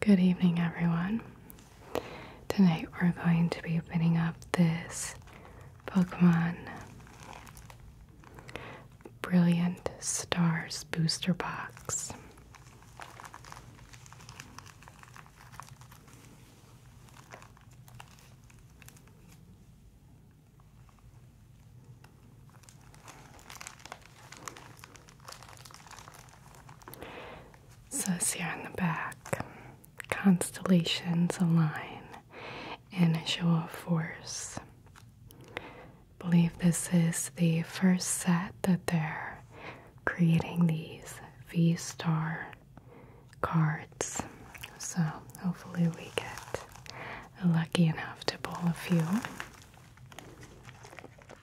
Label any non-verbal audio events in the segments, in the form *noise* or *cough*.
Good evening, everyone. Tonight we're going to be opening up this Pokemon Brilliant Stars Booster Box. So, here in the back constellations align in a show of force. believe this is the first set that they're creating these V star cards. So, hopefully, we get lucky enough to pull a few.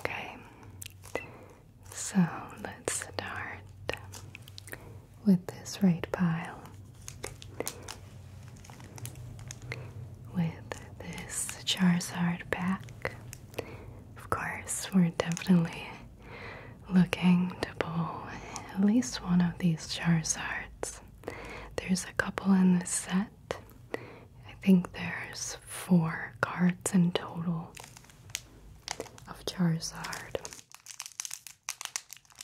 Okay, so let's start with this right pile. With this Charizard back, Of course, we're definitely looking to pull at least one of these Charizards. There's a couple in this set. I think there's four cards in total of Charizard.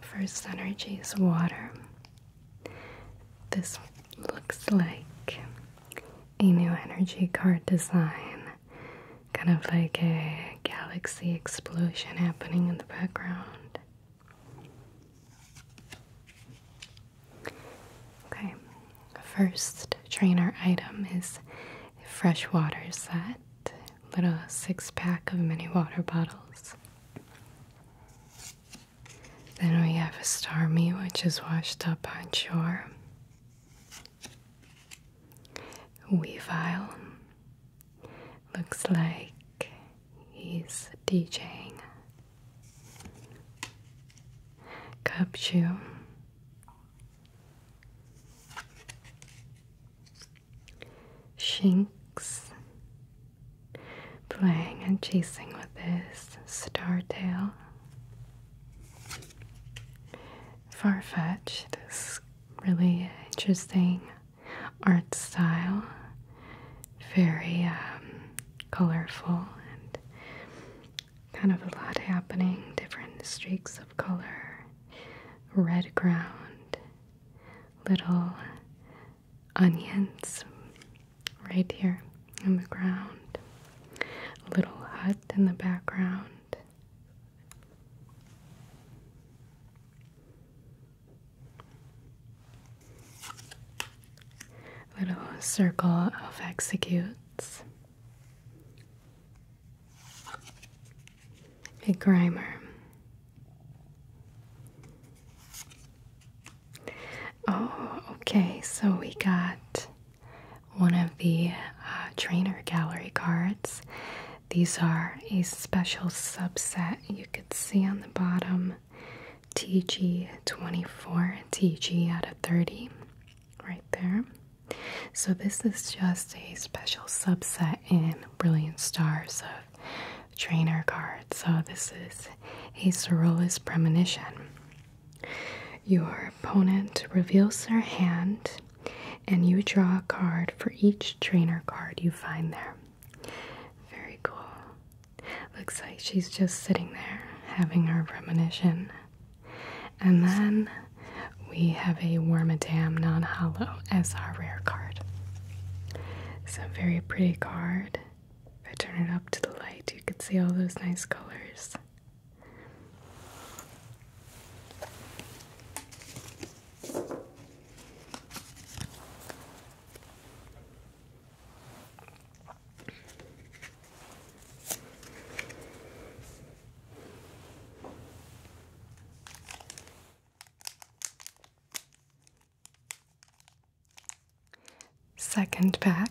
First energy is water. This looks like a new energy card design kind of like a galaxy explosion happening in the background. Okay, first trainer item is fresh water set, little six pack of mini water bottles. Then we have a stormy, which is washed up on shore. Wii file looks like he's DJing. Cup shoe. Shinx playing and chasing with his star tail. Farfetch, this really interesting art style, very um, colorful and kind of a lot happening, different streaks of color, red ground, little onions right here in the ground, little hut in the background, Little circle of executes. A grimer. Oh, okay, so we got one of the uh, trainer gallery cards. These are a special subset you could see on the bottom TG 24, TG out of 30, right there. So, this is just a special subset in Brilliant Stars of Trainer cards. So, this is a Sorola's Premonition. Your opponent reveals their hand and you draw a card for each trainer card you find there. Very cool. Looks like she's just sitting there having her premonition. And then we have a Wormadam non hollow as our rare card. It's a very pretty card. If I turn it up to the light, you can see all those nice colors. Second pack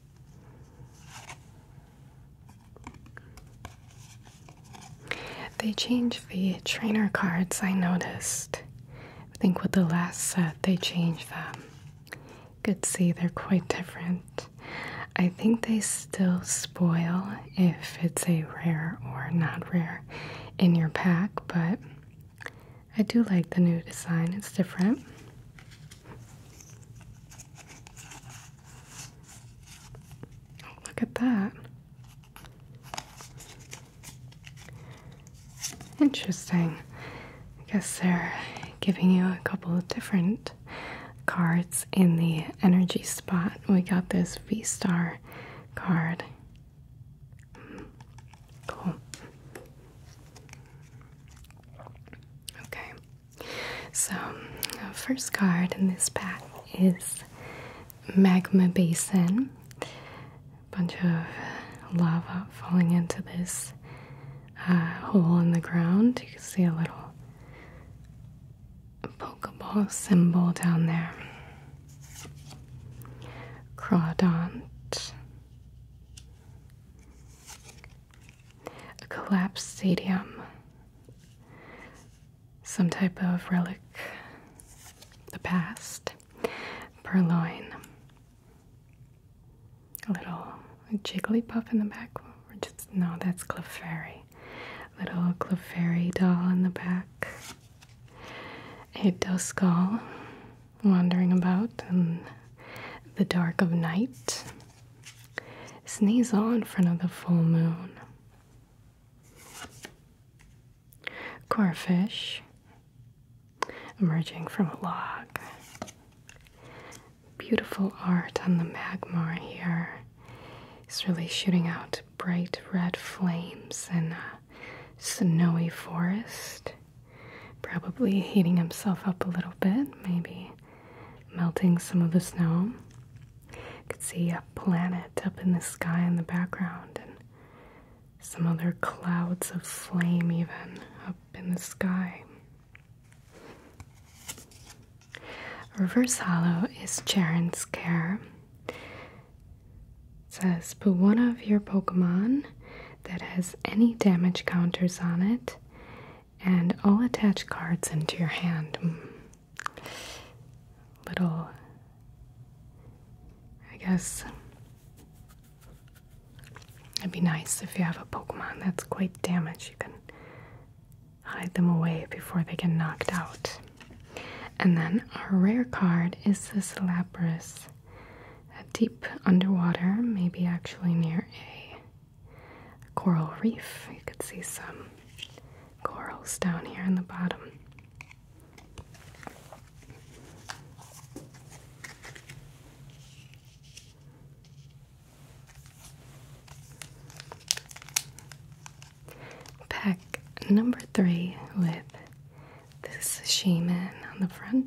They changed the trainer cards, I noticed. I think with the last set, they changed them. Good see they're quite different. I think they still spoil if it's a rare or not rare in your pack, but I do like the new design, it's different. Oh, look at that. Interesting. I guess they're giving you a couple of different cards in the energy spot. We got this V Star card. Hmm. Cool. Okay. So, our first card in this pack is Magma Basin. A bunch of lava falling into this uh, hole in the ground. You can see a little Pokeball symbol down there. Crodon a collapsed stadium, some type of relic, the past, purloin, a little puff in the back. no, that's Clefairy. Little Clefairy doll in the back. A Duskull wandering about in the dark of night. Sneeze on in front of the full moon. Core emerging from a log. Beautiful art on the magmar here. It's really shooting out bright red flames in a snowy forest. Probably heating himself up a little bit, maybe melting some of the snow. You could see a planet up in the sky in the background and some other clouds of flame, even up in the sky. Reverse Hollow is Charon's Care. says, put one of your Pokemon that has any damage counters on it and I'll attach cards into your hand. Mm. Little, I guess, it'd be nice if you have a Pokemon that's quite damaged. You can hide them away before they get knocked out. And then our rare card is this Lapras. Deep underwater, maybe actually near a coral reef. You could see some corals down here in the bottom. Pack number three with this shaman on the front.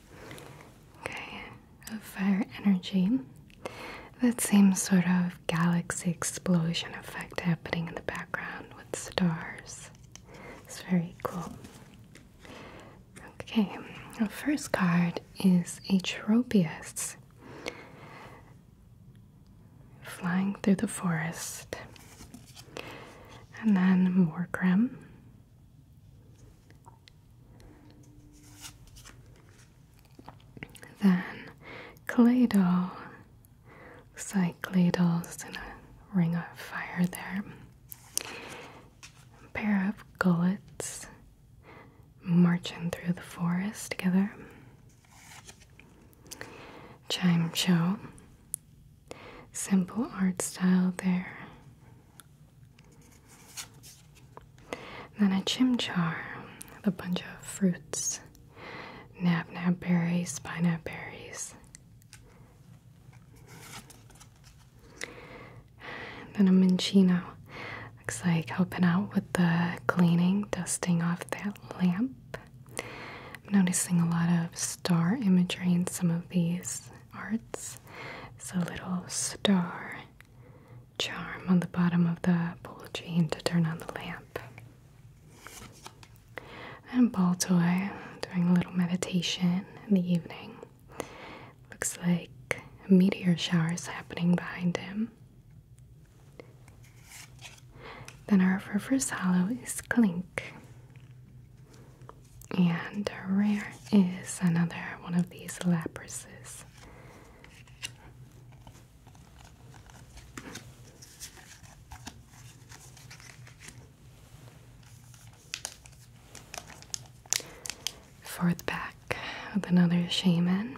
Okay, of fire energy. That same sort of galaxy explosion effect happening in the background with stars. It's very cool. Okay, our first card is a Atropius. Flying through the forest. And then Morgrem. Then Claydol. Looks like Claydol's in a ring of fire there. pair of gullets marching through the forest together. Chime show. Simple art style there. Then a chimchar with a bunch of fruits nab nab berries, pine pineapple berries. Then a minchino. Looks like helping out with the cleaning, dusting off that lamp. I'm noticing a lot of star imagery in some of these arts. It's a little star charm on the bottom of the jean to turn on the lamp. And ball toy doing a little meditation in the evening. Looks like a meteor shower is happening behind him. Then our first hollow is Clink. And rare is another one of these laprises. Fourth back with another shaman.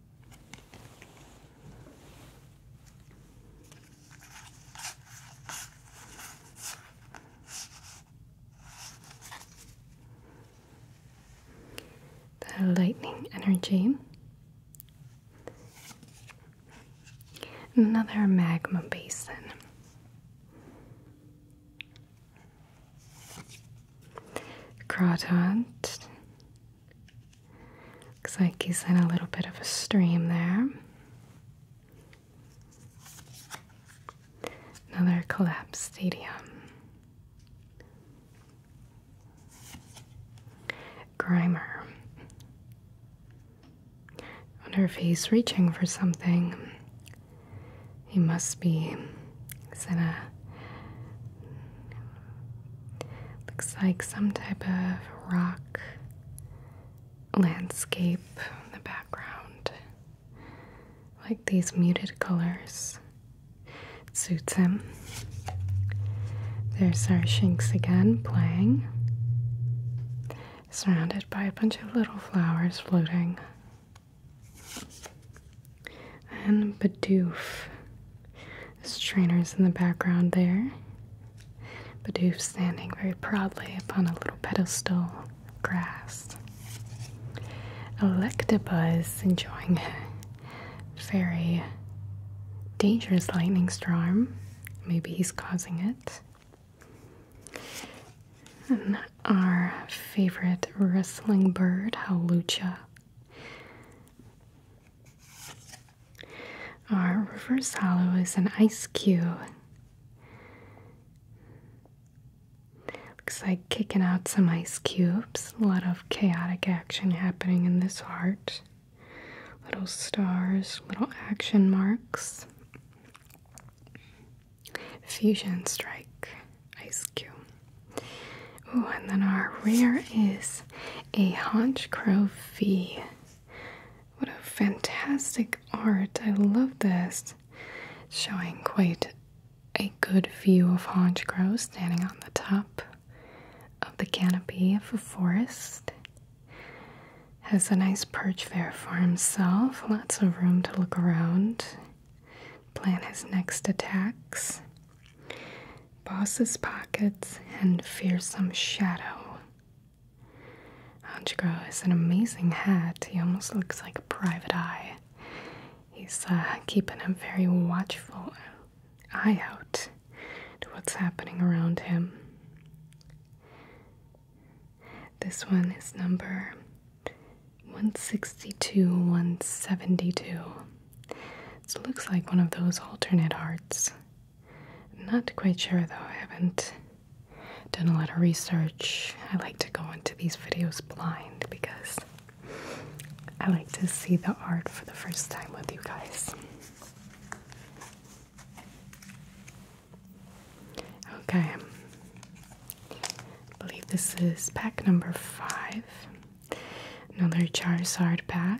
The lightning energy. Another magma basin. Croton Looks like he's in a little bit of a stream there. Another collapsed stadium. Grimer. Wonder if he's reaching for something. He must be. He's in a Looks like some type of rock landscape in the background. Like these muted colors. suits him. There's our Shinx again playing. Surrounded by a bunch of little flowers floating. And Bidoof. His trainers in the background there. Bidoof standing very proudly upon a little pedestal of grass. Electabuzz enjoying a very dangerous lightning storm. Maybe he's causing it. And our favorite rustling bird, Howlucha. Our reverse hollow is an ice cube. Looks like kicking out some ice cubes. A lot of chaotic action happening in this art. Little stars, little action marks. Fusion strike, ice cube. Oh, and then our rear is a haunch crow fee. What a fantastic art. I love this. Showing quite a good view of Honchcrow standing on the top of the canopy of a forest. Has a nice perch there for himself, lots of room to look around, plan his next attacks. Boss's Pockets, and Fearsome Shadow. Honchgro is an amazing hat. He almost looks like a private eye. He's uh, keeping a very watchful eye out to what's happening around him. This one is number 162 172. it looks like one of those alternate hearts. Not quite sure though, I haven't done a lot of research. I like to go into these videos blind because I like to see the art for the first time with you guys. Okay, I believe this is pack number five. Another Charizard pack.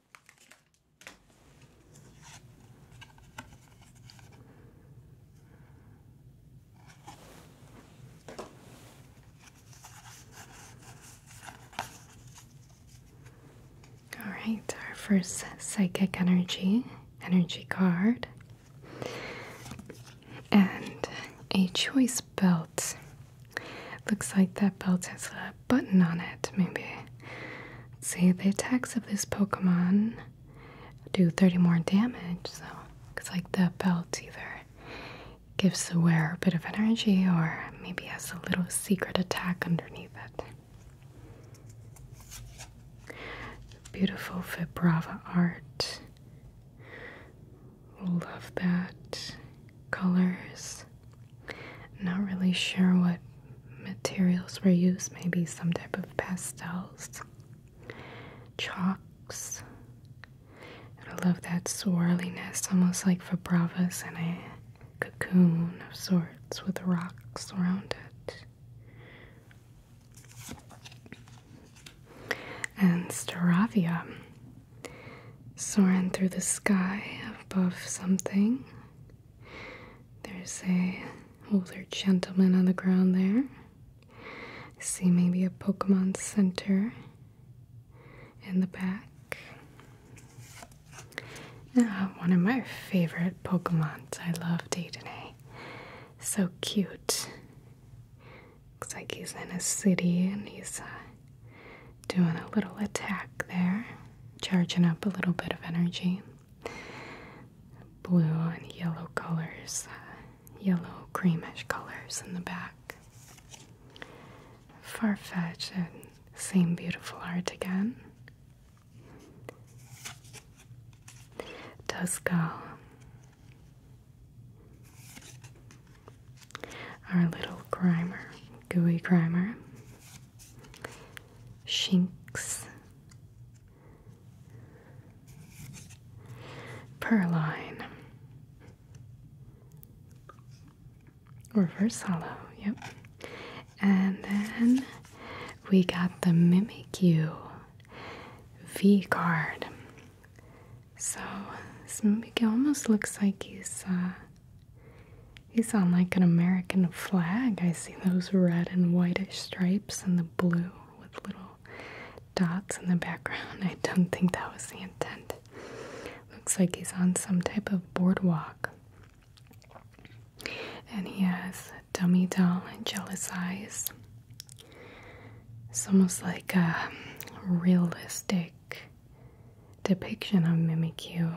All right, our first psychic energy, energy card, and a choice belt. Looks like that belt has a button on it, maybe. see, the attacks of this Pokemon do 30 more damage, so it's like the belt either gives the wearer a bit of energy or maybe has a little secret attack underneath it. Beautiful Fibrava art. Love that. Colors. Not really sure what materials were used, maybe some type of pastels, chalks. I love that swirliness, almost like Fabravas in a cocoon of sorts with rocks around it. And Staravia, soaring through the sky above something. There's a older gentleman on the ground there. see maybe a Pokemon Center in the back. Ah, one of my favorite Pokemons. I love Daytonay. So cute. Looks like he's in a city and he's uh, doing a little attack there, charging up a little bit of energy blue and yellow colors, uh, yellow creamish colors in the back. Far fetched and same beautiful art again. Tuscal. Our little grimer, gooey grimer. Shinx, Perline, Reverse Hollow, yep. And then we got the Mimikyu V card. So this Mimikyu almost looks like he's uh, He's on like an American flag. I see those red and whitish stripes and the blue with little dots in the background. *laughs* I don't think that was the intent. Looks like he's on some type of boardwalk. And he has dummy doll and jealous eyes. It's almost like a realistic depiction of Mimikyu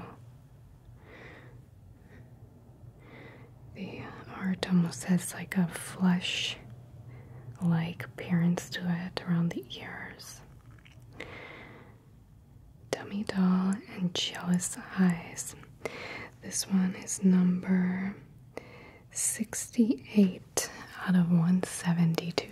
the uh, art almost has like a flush like appearance to it around the ears. Dummy Doll and Jealous Eyes. This one is number 68 out of 172.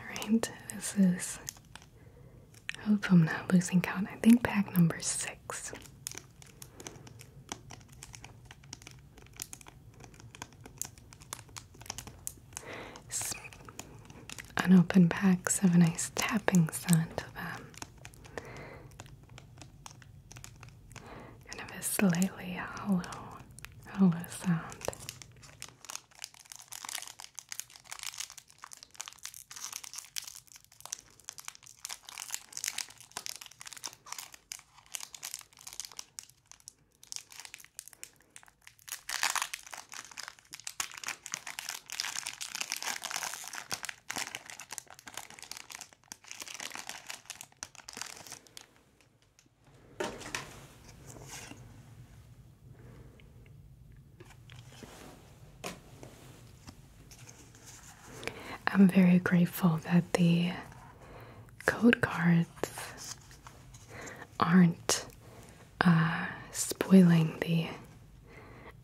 Alright, this is. I hope I'm not losing count. I think pack number six unopened packs have a nice tapping sound to them. Kind of a slightly hollow, hollow sound. I'm very grateful that the code cards aren't uh, spoiling the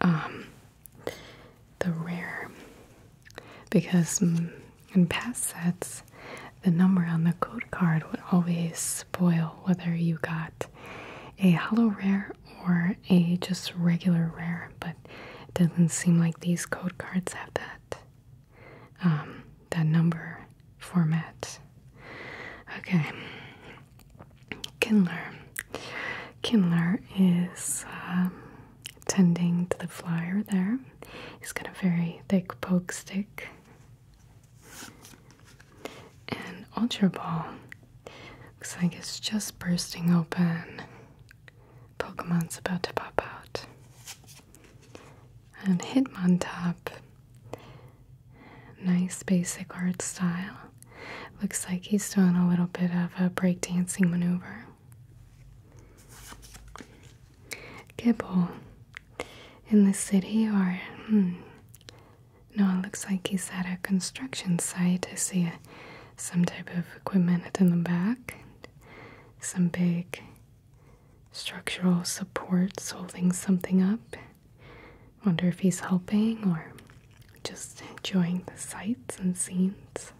um, the rare because in past sets the number on the code card would always spoil whether you got a hollow rare or a just regular rare but it doesn't seem like these code cards have that um, that number format okay Kindler. Kindler is um, tending to the flyer there. He's got a very thick poke stick. And Ultra Ball looks like it's just bursting open. Pokemon's about to pop out. And Hitmontop Nice basic art style. Looks like he's doing a little bit of a breakdancing maneuver. Gibble in the city, or hmm. No, it looks like he's at a construction site. I see some type of equipment in the back, some big structural supports holding something up. Wonder if he's helping or just enjoying the sights and scenes.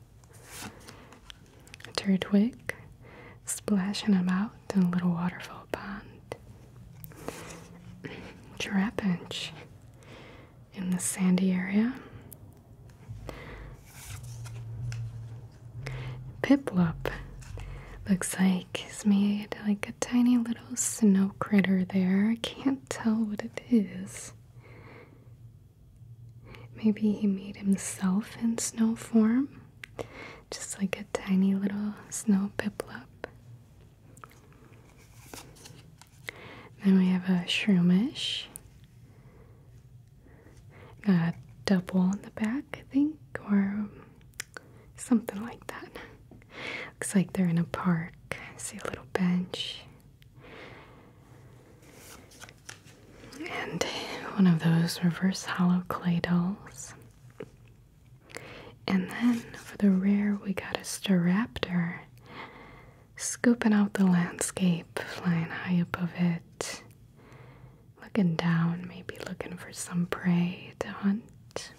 Turtwig splashing about in a little waterfall pond. Trapinch in the sandy area. Piplup looks like he's made like a tiny little little snow critter there. I can't tell what it is. Maybe he made himself in snow form, just like a tiny little snow piplop. Then we have a shroomish. Got a double in the back, I think, or something like that. Looks like they're in a park. see a little bench. And one of those reverse hollow clay dolls. And then for the rear, we got a styraptor, scooping out the landscape, flying high above it, looking down, maybe looking for some prey to hunt.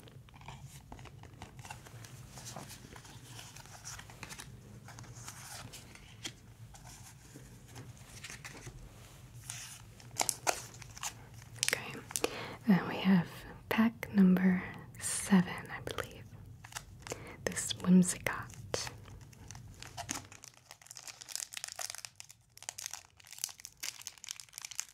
Okay, then we have pack number seven, I believe. This Whimsicott.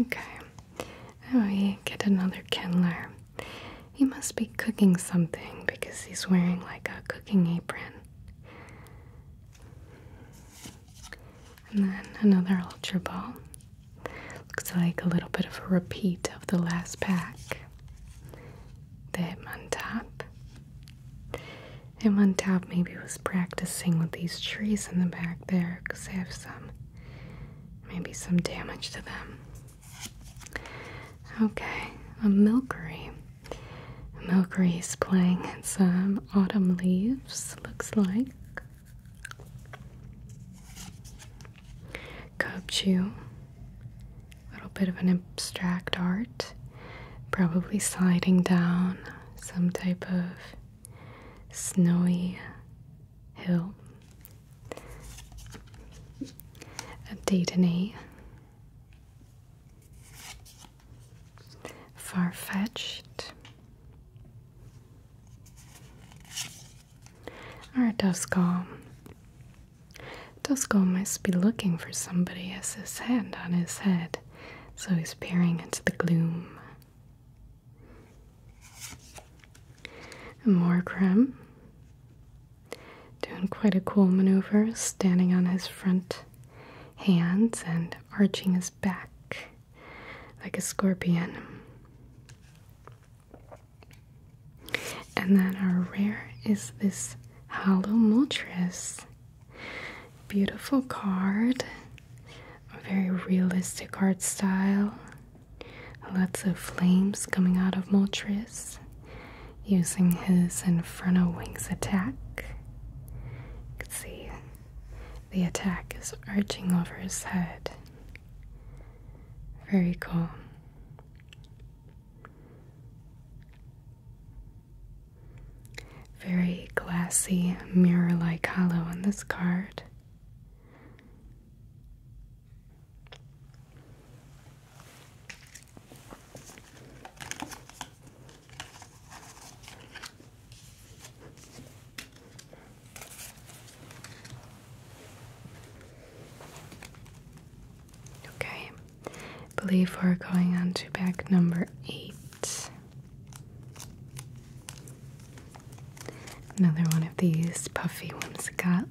Okay, now we get another kindler. He must be cooking something because he's wearing like a cooking apron. And then another Ultra Ball. Looks like a little bit of a repeat of the last pack. The Hitmontop. Hitmontop maybe was practicing with these trees in the back there because they have some, maybe some damage to them. Okay, a Milkery. Milkree's playing in some autumn leaves, looks like. Kobchu, a little bit of an abstract art, probably sliding down some type of snowy hill. A Daytony far-fetched or Dusko. Dusko must be looking for somebody as his hand on his head, so he's peering into the gloom. More Morgrim, doing quite a cool maneuver, standing on his front hands and arching his back like a scorpion. And then our rare is this Hollow Moltres. Beautiful card, very realistic art style. Lots of flames coming out of Moltres using his Inferno Wings attack. You can see the attack is arching over his head. Very cool. Very glassy, mirror like hollow on this card. Okay, believe we're going on to back number eight. Another one of these puffy ones, whimsicots.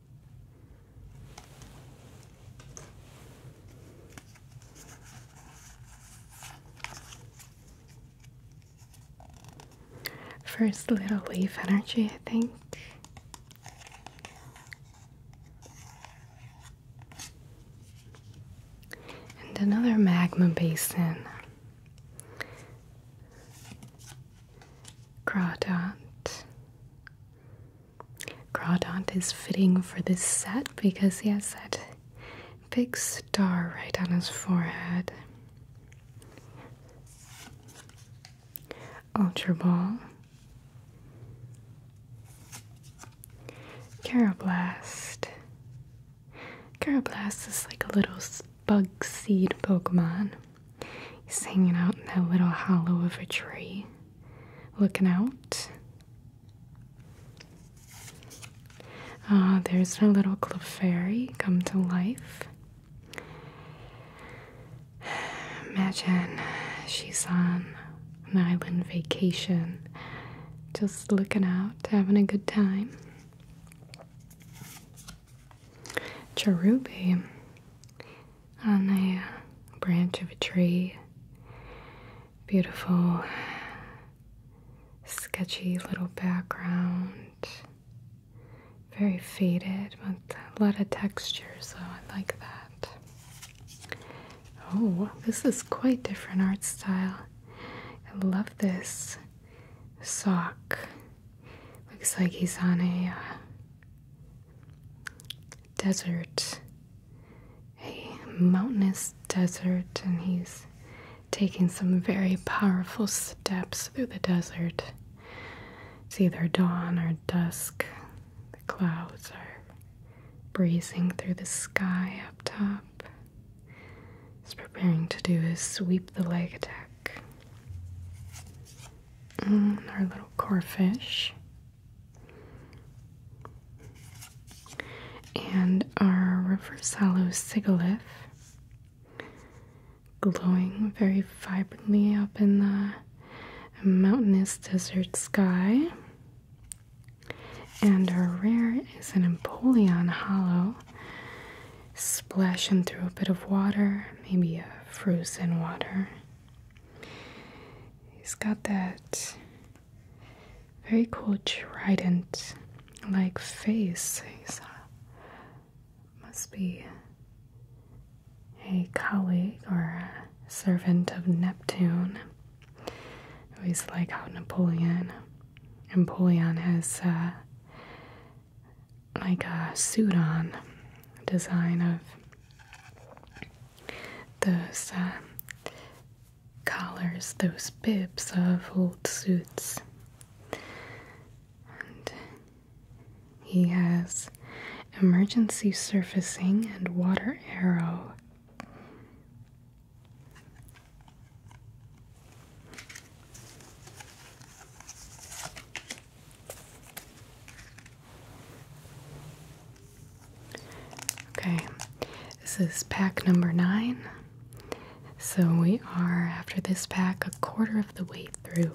First little leaf energy, I think. And another magma basin. Crawdot. Crawdont is fitting for this set because he has that big star right on his forehead. Ultra Ball, Caroblast. Caroblast is like a little bug seed Pokemon. He's hanging out in that little hollow of a tree looking out. Uh, there's our little cliff fairy come to life. Imagine she's on an island vacation, just looking out, having a good time. Cherubi on a branch of a tree. Beautiful, sketchy little background. Very faded, but a lot of texture, so I like that. Oh, this is quite different art style. I love this sock. Looks like he's on a uh, desert, a mountainous desert, and he's taking some very powerful steps through the desert. It's either dawn or dusk. The clouds are breezing through the sky up top. He's preparing to do his sweep the leg attack. Mm, our little corefish and our river salo sigilith glowing very vibrantly up in the mountainous desert sky and our rear is an empoleon hollow splashing through a bit of water maybe a frozen water He's got that very cool trident like face. He's a, uh, must be a colleague or a servant of Neptune. He's like how Napoleon. Napoleon has uh, like a suit on design of those um, collars, those bibs of old suits. And he has emergency surfacing and water arrow. Okay, this is pack number nine. So we are, after this pack, a quarter of the way through.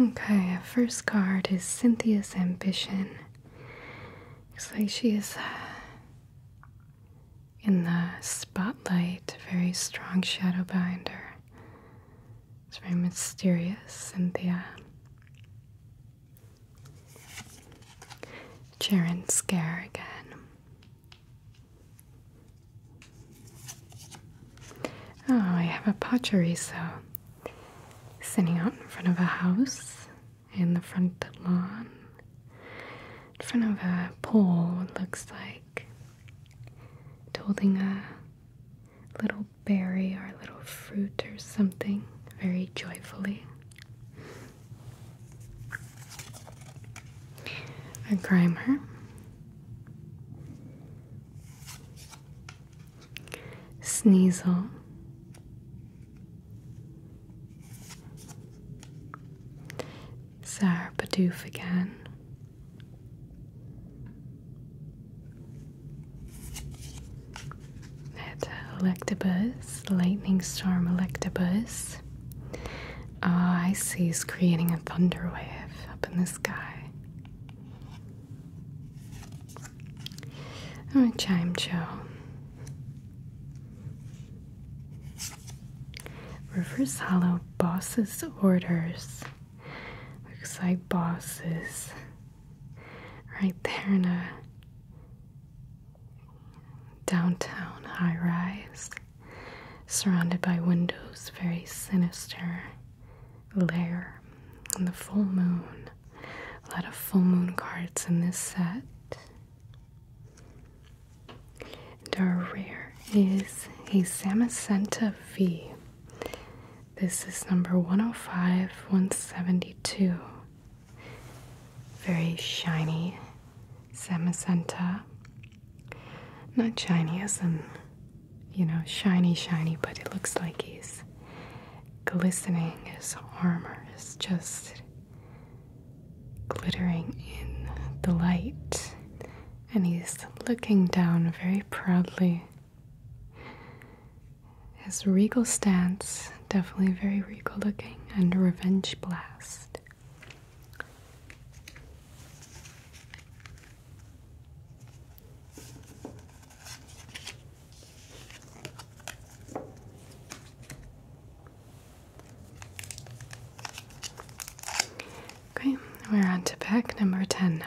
Okay, our first card is Cynthia's Ambition. Looks like she is uh, in the spotlight, very strong shadow behind her. It's very mysterious, Cynthia. Sharon Scare again. Oh, I have a so sitting out in front of a house in the front lawn, in front of a pole, looks like, holding a little berry or a little fruit or something very joyfully. A grimer Sneasel, Zarpadoof again. At uh, Electabuzz, Lightning Storm Electabuzz. Ah, I see. He's creating a thunder wave up in the sky. Oh, Chime Joe. Rivers Hollow Boss's Orders. Looks like bosses. Right there in a downtown high rise surrounded by windows, very sinister lair. And the full moon. A lot of full moon cards in this set. And our rare is a Samacenta V. This is number 105 172. Very shiny Samacenta. Not shiny as in, you know, shiny, shiny, but it looks like he's glistening. His armor is just glittering in the light. And he's looking down very proudly. His regal stance, definitely very regal looking, and revenge blast. Okay, we're on to pack number 10 now.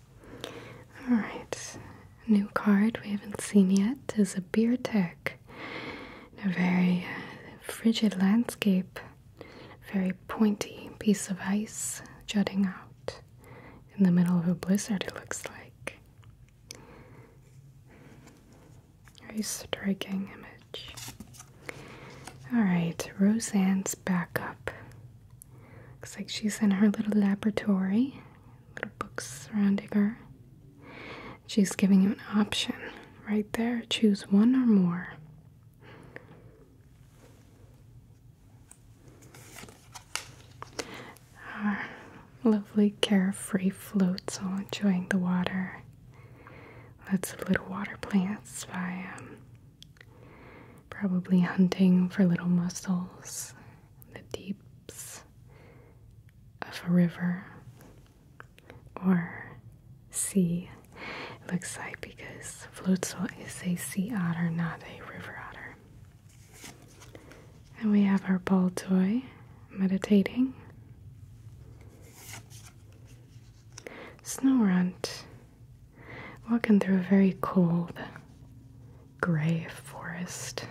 Alright, new card we haven't seen yet is a beer tech. A very uh, frigid landscape, very pointy piece of ice jutting out in the middle of a blizzard, it looks like. Very striking image. Alright, Roseanne's backup. Looks like she's in her little laboratory little books surrounding her. She's giving you an option right there choose one or more. Our lovely carefree floats all enjoying the water. Lots of little water plants by um, probably hunting for little mussels, the deeps of a river or sea. looks like because Flutzel is a sea otter, not a river otter. And we have our ball toy meditating. Snow Runt walking through a very cold gray forest.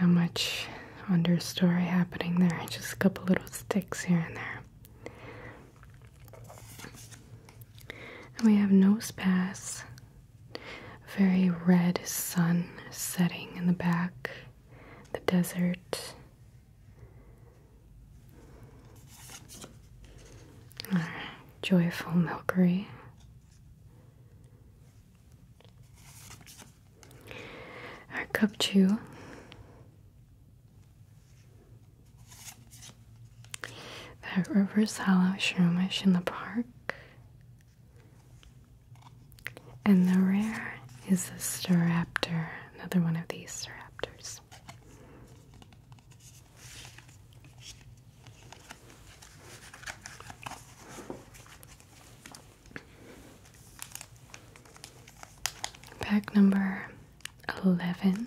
Not much understory happening there, just a couple little sticks here and there. And we have Nose Pass, very red sun setting in the back, the desert. Our joyful milkery our cup chew that river's hollow shroomish in the park and the rare is the Staraptor, another one of these Staraptors Pack number 11.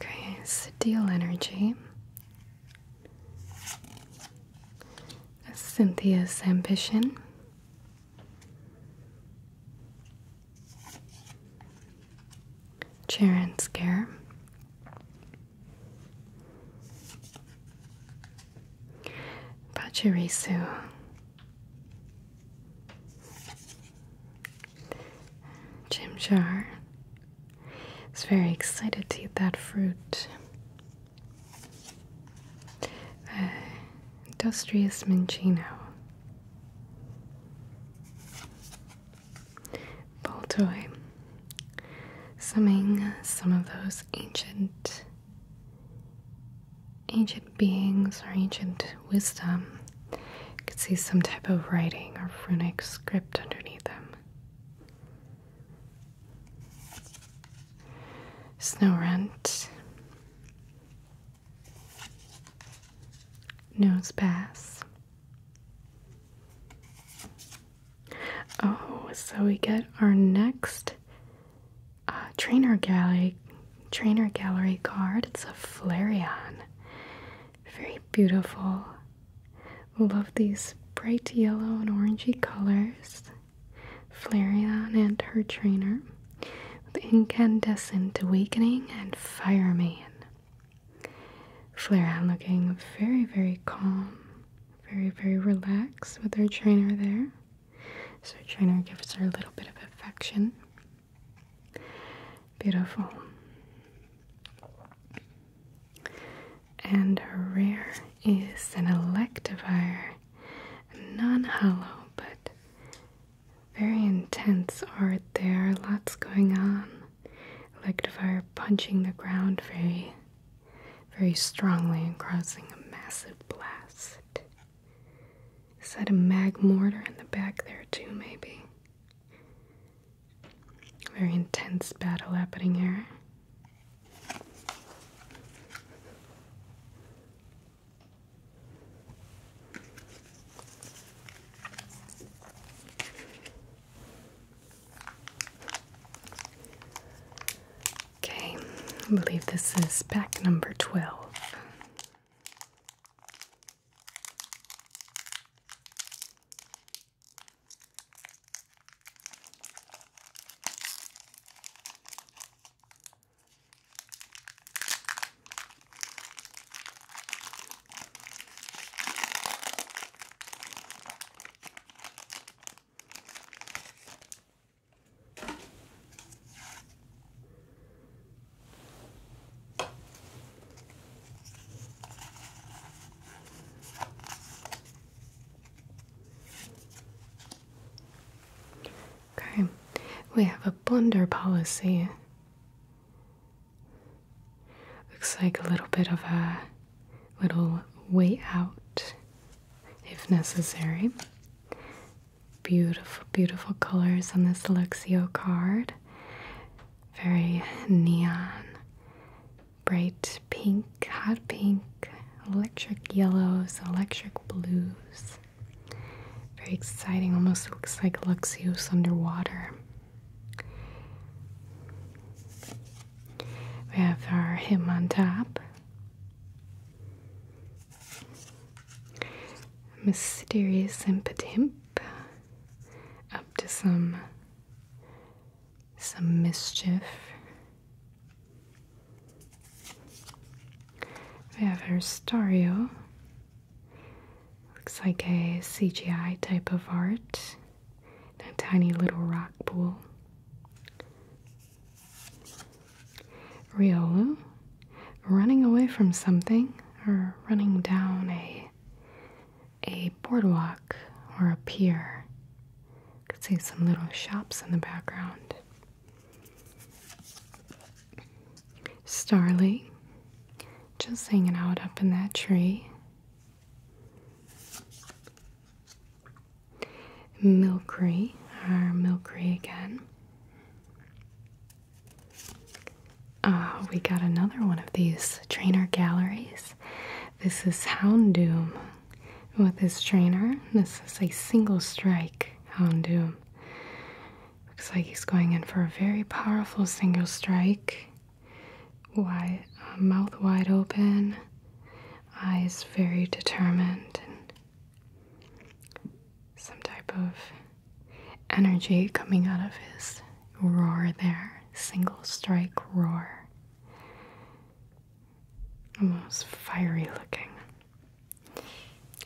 Okay, Steel Energy. Cynthia's Ambition. Cheer and Scare. Pachirisu. Jim Jar. very excited to eat that fruit. Uh, industrious Minchino. Boltoy, summing some of those ancient, ancient beings or ancient wisdom. could see some type of writing or runic script underneath them. Snow rent, nose pass. Oh, so we get our next uh, trainer gallery trainer gallery card. It's a Flareon. Very beautiful. Love these bright yellow and orangey colors. Flareon and her trainer. With incandescent awakening and fireman. Flareon looking very, very calm, very, very relaxed with her trainer there. So trainer gives her a little bit of affection. Beautiful. And rare is an Electivire. Non hollow, but very intense art there. Lots going on. Electivire punching the ground very, very strongly and causing a massive blast. Is that a mag mortar in the back there, too, maybe? Very intense battle happening here. Okay, I believe this is pack number 12. Okay, we have a blunder policy. Looks like a little bit of a little way out if necessary. Beautiful, beautiful colors on this Luxio card. Very neon, bright pink, hot pink, electric yellows, electric blues. Very exciting, almost looks like Luxios underwater. We have our him on top. Mysterious impotent up to some some mischief. We have our Stario. Looks like a CGI type of art in a tiny little rock pool. Riolu, running away from something or running down a a boardwalk or a pier. You could see some little shops in the background. Starly, just hanging out up in that tree. Milky our Milky again. Oh, we got another one of these trainer galleries. This is Houndoom with his trainer. This is a single strike Houndoom. Looks like he's going in for a very powerful single strike wide, uh, mouth wide open, eyes very determined, and some type of energy coming out of his roar there, single strike roar. Almost fiery looking.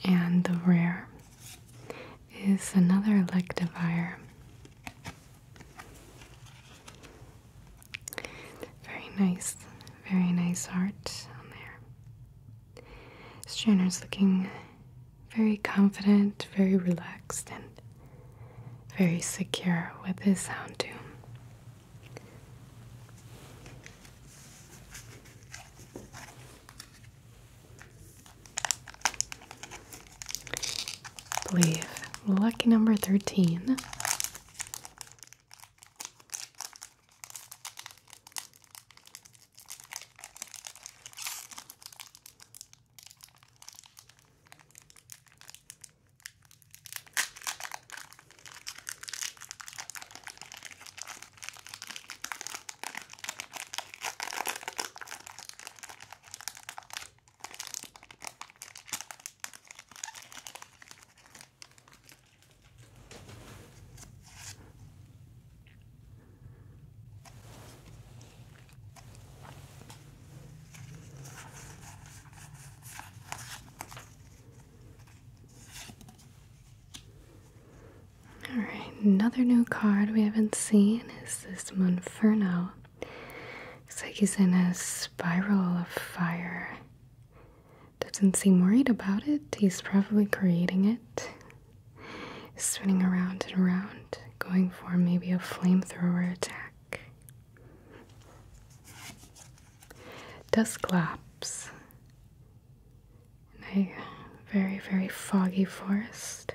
And the rear is another electivire. Very nice, very nice heart on there. Stranner's looking very confident, very relaxed, and very secure with his sound too. Believe Lucky number 13. Alright, another new card we haven't seen is this Monferno. Looks like he's in a spiral of fire. Doesn't seem worried about it. He's probably creating it. He's spinning around and around, going for maybe a flamethrower attack. Dusclops. In a very, very foggy forest.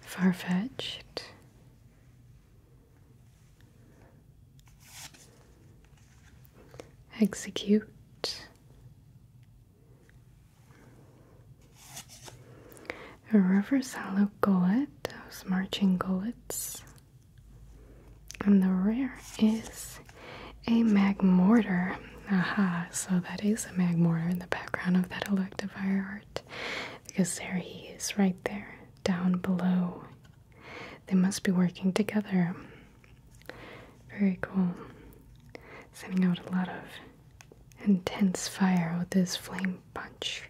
far fetched. Execute. A reverse hollow gullet, those marching gullets. And the rare is a mag mortar. Aha, so that is a mag mortar in the background of that electivire art. Because there he is, right there, down below. They must be working together. Very cool. Sending out a lot of intense fire with this flame punch.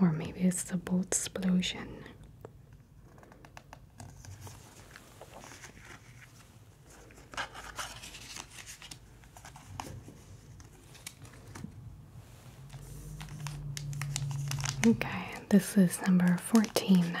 Or maybe it's the bolt explosion. Okay, this is number 14 now.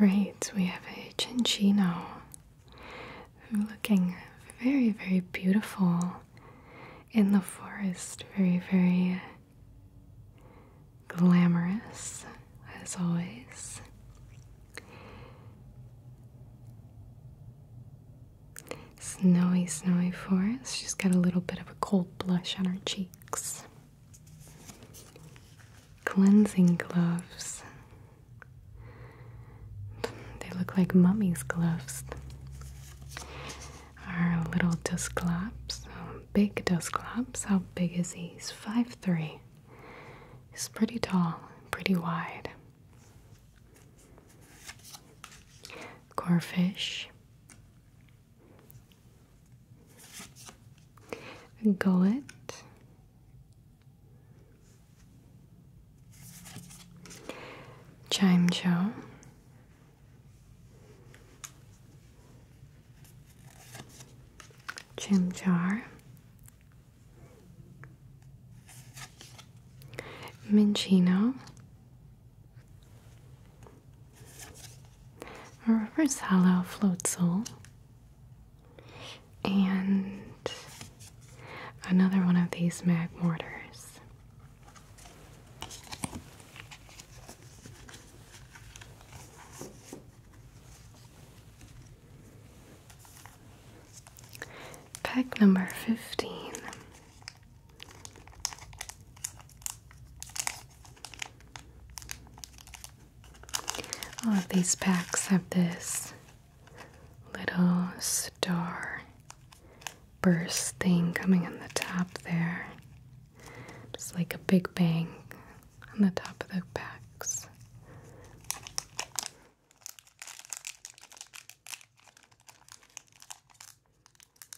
Alright, we have a chinchino looking very, very beautiful in the forest, very, very glamorous as always. Snowy, snowy forest. She's got a little bit of a cold blush on her cheeks. Cleansing gloves. They look like mummy's gloves. Our little dust oh, big dust Dusclops. How big is he? He's 5'3. He's pretty tall, pretty wide. Corefish, gullet, chime chow, chim jar, minchino, a reverse hollow float sole, and another one of these mag mortars. Pack number 15 all of these packs have this little star burst thing coming on the top there. Just like a big bang on the top of the packs.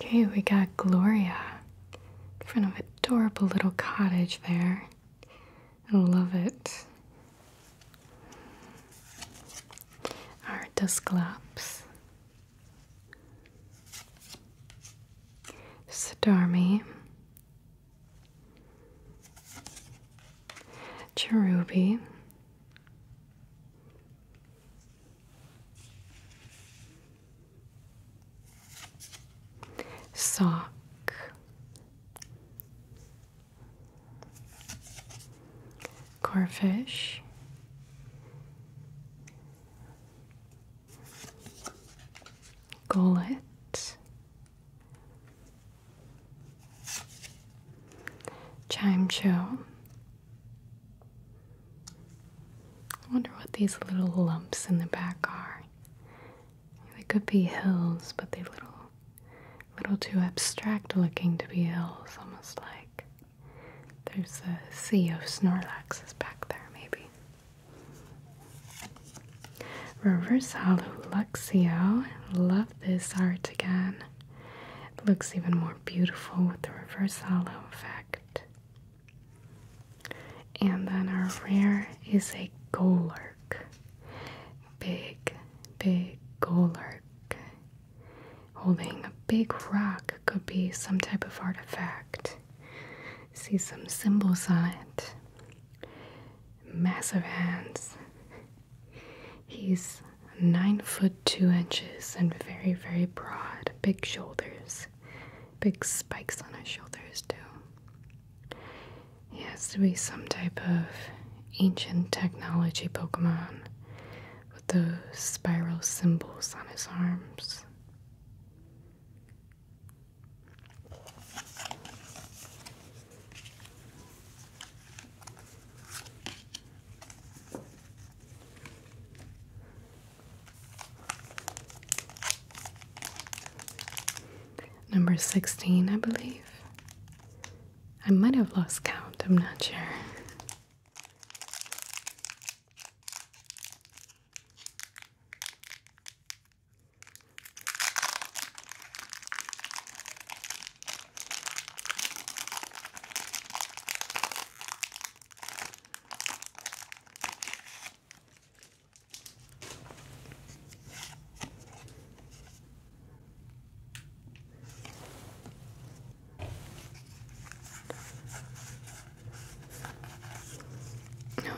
Okay, we got Gloria in front of adorable little cottage there. I love it. Our Dusclops. Starmie. Cherubi sock corfish gullet chime show I wonder what these little lumps in the back are. They could be hills, but they're little little too abstract looking to be hills, almost like there's a sea of snorlaxes back there, maybe. Reverse hollow Love this art again. It looks even more beautiful with the reverse halo effect. And then our rare is a Golurk. Big, big Golurk. Holding a big rock could be some type of artifact. See some symbols on it. Massive hands. He's nine foot two inches and very, very broad. Big shoulders, big spikes on his shoulders, too. He has to be some type of ancient technology Pokemon with those spiral symbols on his arms. Number 16, I believe. I might have lost count, I'm not sure.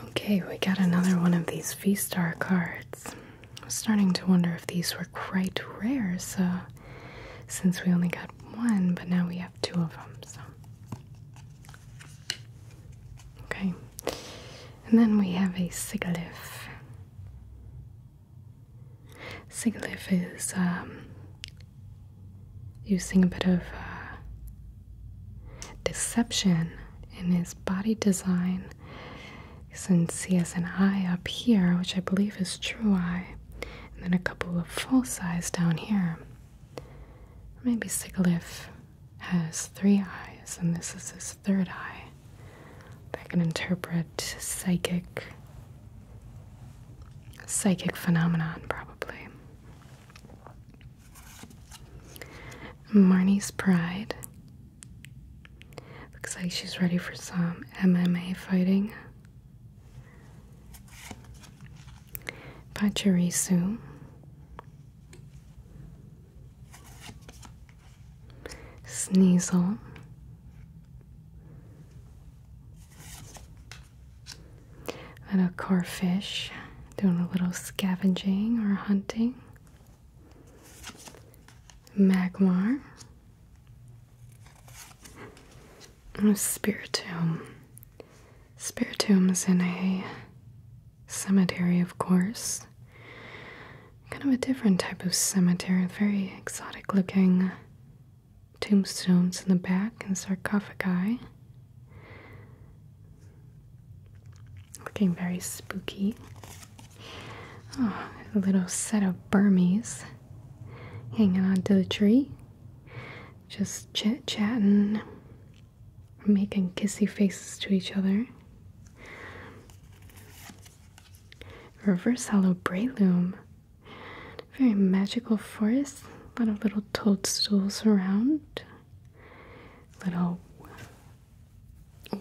Okay, we got another one of these V-Star cards. I am starting to wonder if these were quite rare, so since we only got one, but now we have two of them, so. Okay. And then we have a Sigiliff. Sigiliff is um, using a bit of uh, deception in his body design. Since he has an eye up here, which I believe is true eye, and then a couple of full size down here. Maybe Sigalith has three eyes, and this is his third eye that can interpret psychic psychic phenomenon probably. Marnie's pride. Looks like she's ready for some MMA fighting. Pachirisu, Sneasel, little core fish doing a little scavenging or hunting, Magmar, Spiritomb. Spiritomb's in a cemetery, of course. Kind of a different type of cemetery, very exotic looking tombstones in the back and sarcophagi. Looking very spooky. Oh, a little set of Burmese hanging onto the tree, just chit chatting, making kissy faces to each other. Reverse hollow brayloom. Very magical forest. A lot of little toadstools around. Little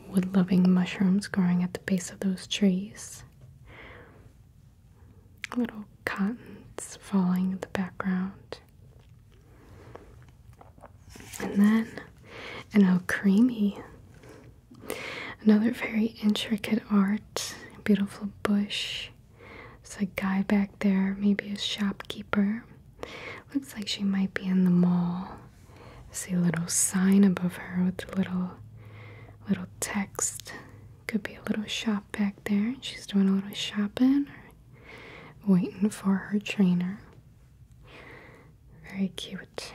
wood loving mushrooms growing at the base of those trees little cottons falling in the background. And then an El Creamy. Another very intricate art. Beautiful bush. It's a guy back there, maybe a shopkeeper. Looks like she might be in the mall. see a little sign above her with little little text. Could be a little shop back there. She's doing a little shopping, waiting for her trainer. Very cute.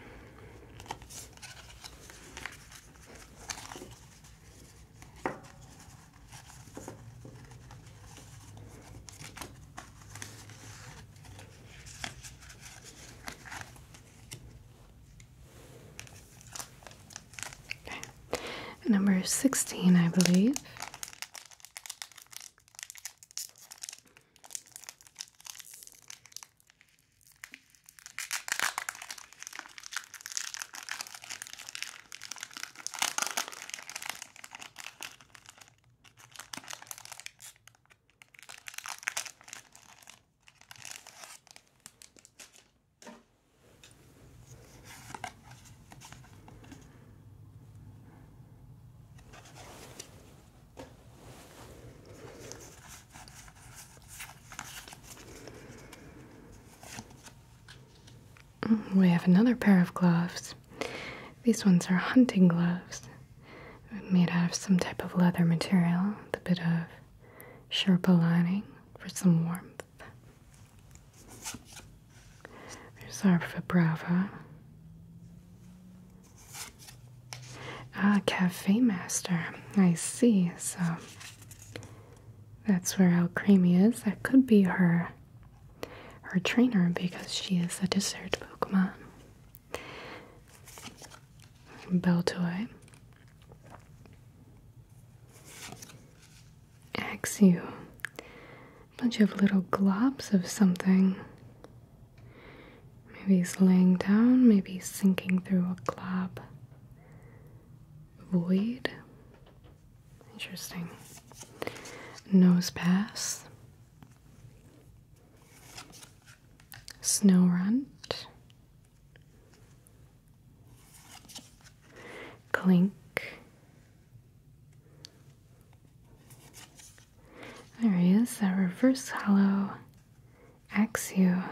Number 16, I believe. Mm, we have another pair of gloves. These ones are hunting gloves made out of some type of leather material with a bit of sherpa lining for some warmth. There's our Brava. Ah, Cafe Master. I see. So that's where El Creamy is. That could be her her trainer because she is a dessert Pokemon. Beltoy axe Bunch of little globs of something. Maybe he's laying down, maybe he's sinking through a glob. Void. Interesting. Nose pass. Snow runt. Clink. There he is, that reverse hollow Axio.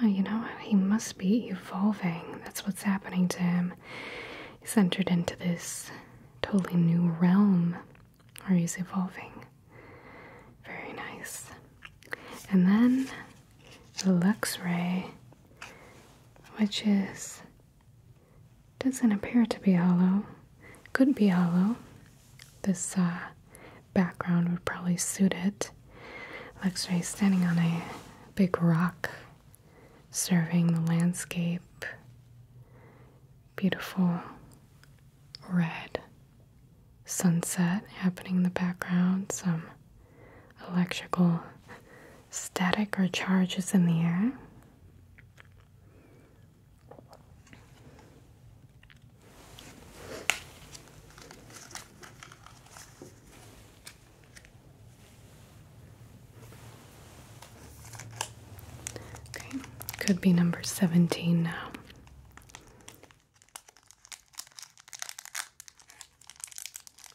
Oh, you know, he must be evolving. That's what's happening to him. He's entered into this totally new realm where he's evolving. Very nice. And then the Luxray which is doesn't appear to be hollow. Could be hollow. This uh, background would probably suit it. Looks like he's standing on a big rock, serving the landscape. Beautiful red sunset happening in the background. Some electrical static or charges in the air. Okay, could be number 17 now.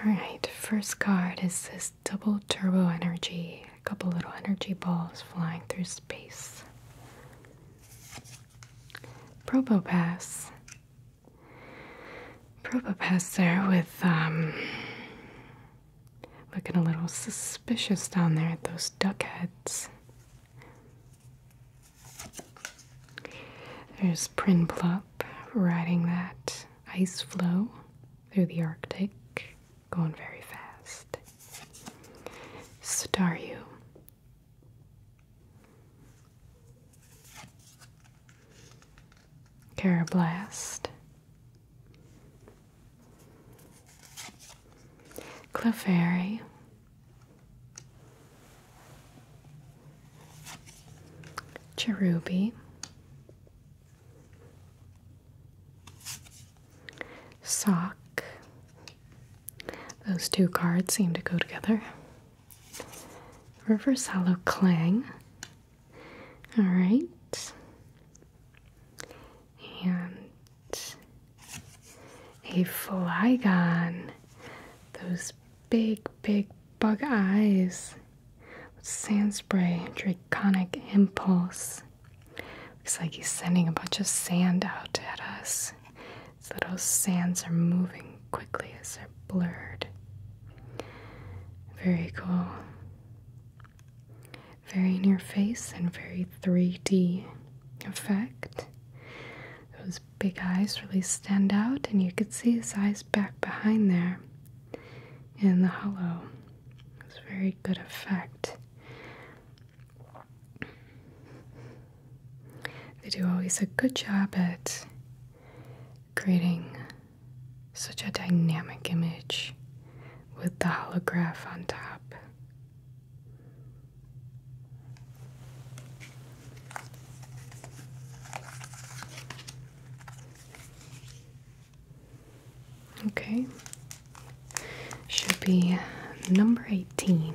Alright, first card is this double turbo energy. A couple little energy balls flying through space. Probopass. Probopass there with, um, looking a little suspicious down there at those duck heads. There's Prinplup riding that ice floe through the Arctic, going very fast. Staryu. Carablast. Clefairy Cherubi, Sock. Those two cards seem to go together. Reverse Hollow Clang. Alright. And a Flygon. Those big, big bug eyes. Sand spray, draconic impulse. Looks like he's sending a bunch of sand out at us. So those sands are moving quickly as they're blurred. Very cool. Very near face and very 3D effect big eyes really stand out, and you could see his eyes back behind there in the hollow. It's very good effect. They do always a good job at creating such a dynamic image with the holograph on top. Okay. Should be number 18.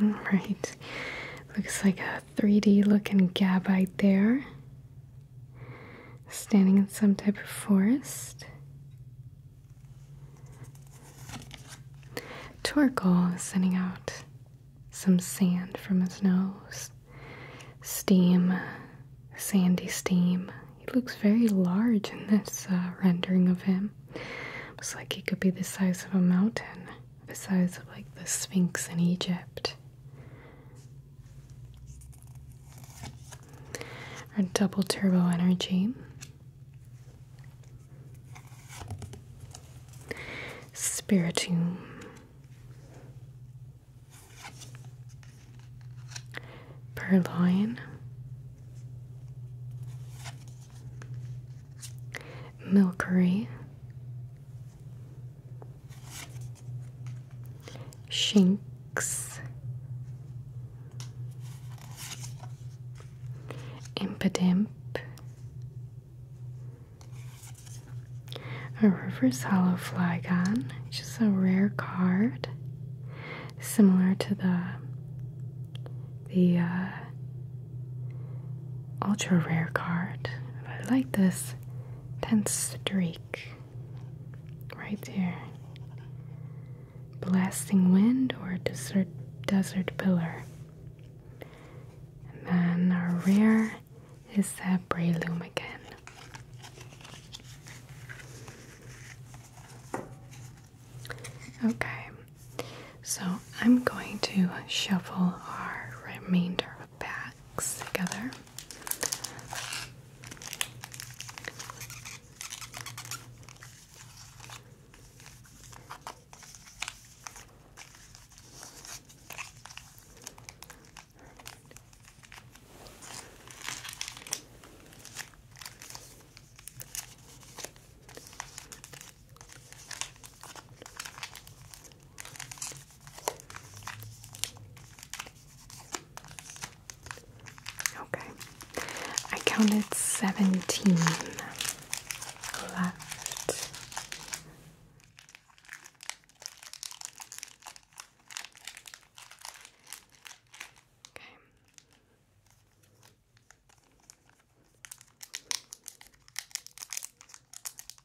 Right, looks like a 3D looking gabbite there. Standing in some type of forest. Torkoal is sending out some sand from his nose. Steam, sandy steam. He looks very large in this uh, rendering of him. Looks like he could be the size of a mountain besides like the Sphinx in Egypt. Our double turbo energy. Spiritum. Purloin. Milkery. Shinx, Impidimp, a reverse hollow Flygon, which is a rare card, similar to the the uh, ultra rare card. But I like this 10th streak right there. Blasting wind or desert desert pillar. And then our rare is that Brayloom again. Okay, so I'm going to shuffle our remainder backs together. Okay, I counted 17 left. Okay.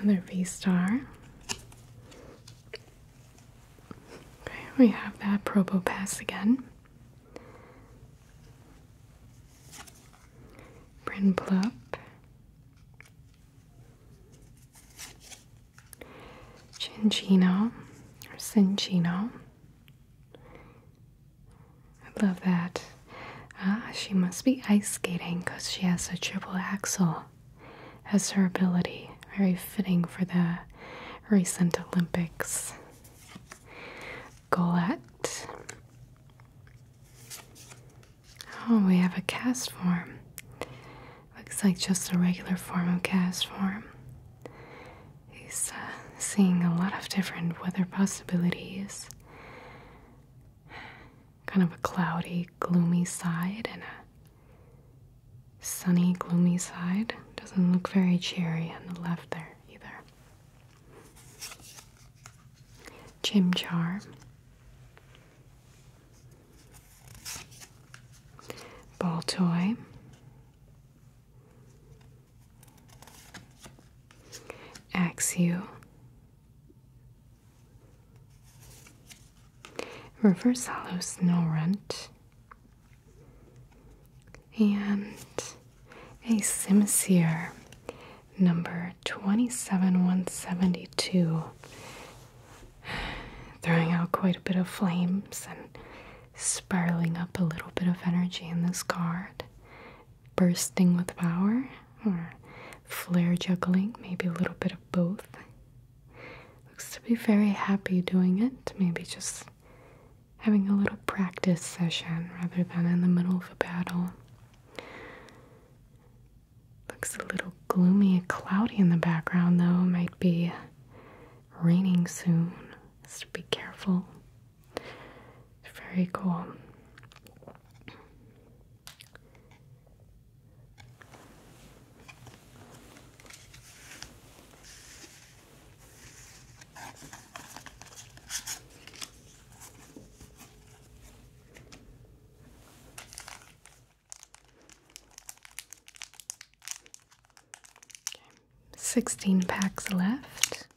Another V star. Okay, we have that Probopass again. Brinplup. Cinchino or Cinchino. I love that. Ah, she must be ice skating because she has a triple axel as her ability. Very fitting for the recent Olympics. Golette. Oh, we have a cast form. Looks like just a regular form of cast form. He's uh, seeing a lot of different weather possibilities kind of a cloudy, gloomy side and a sunny, gloomy side. Doesn't look very cheery on the left there either. Jim, Chimchar. Ball toy. Axial. Reverse hollow snow runt. And a Simsir number 27172. Throwing out quite a bit of flames and spiraling up a little bit of energy in this card bursting with power or flare juggling, maybe a little bit of both. Looks to be very happy doing it, maybe just having a little practice session rather than in the middle of a battle. Looks a little gloomy and cloudy in the background, though. Might be raining soon, so be careful. It's very cool. Sixteen packs left.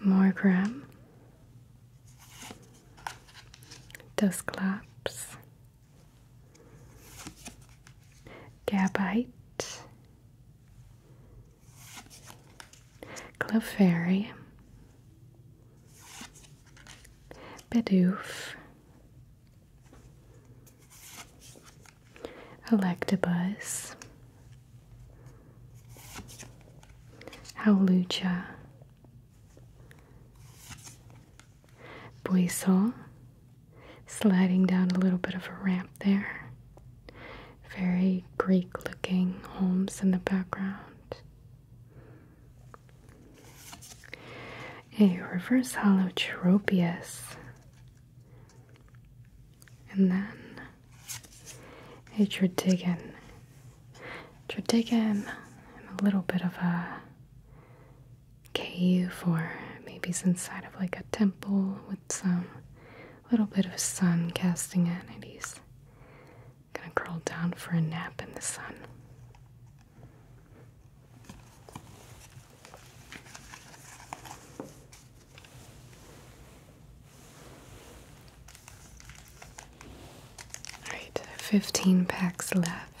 More gram. Dust Gabite. Clefairy. bedouf. Electabuzz, Howlucha, Buisol, sliding down a little bit of a ramp there. Very Greek looking homes in the background a reverse holotropius, and then a tritigan. Tritigan, and a little bit of a cave, or maybe it's inside of like a temple with some little bit of sun casting it, and he's gonna curl down for a nap in the sun. All right, 15 packs left.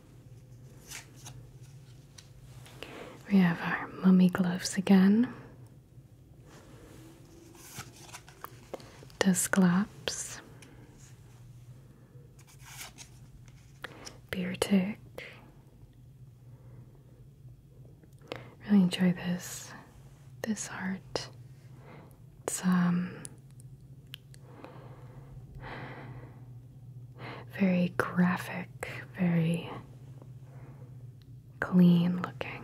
We have our mummy gloves again. Disclops, Beer Really enjoy this this art. It's um very graphic, very clean looking.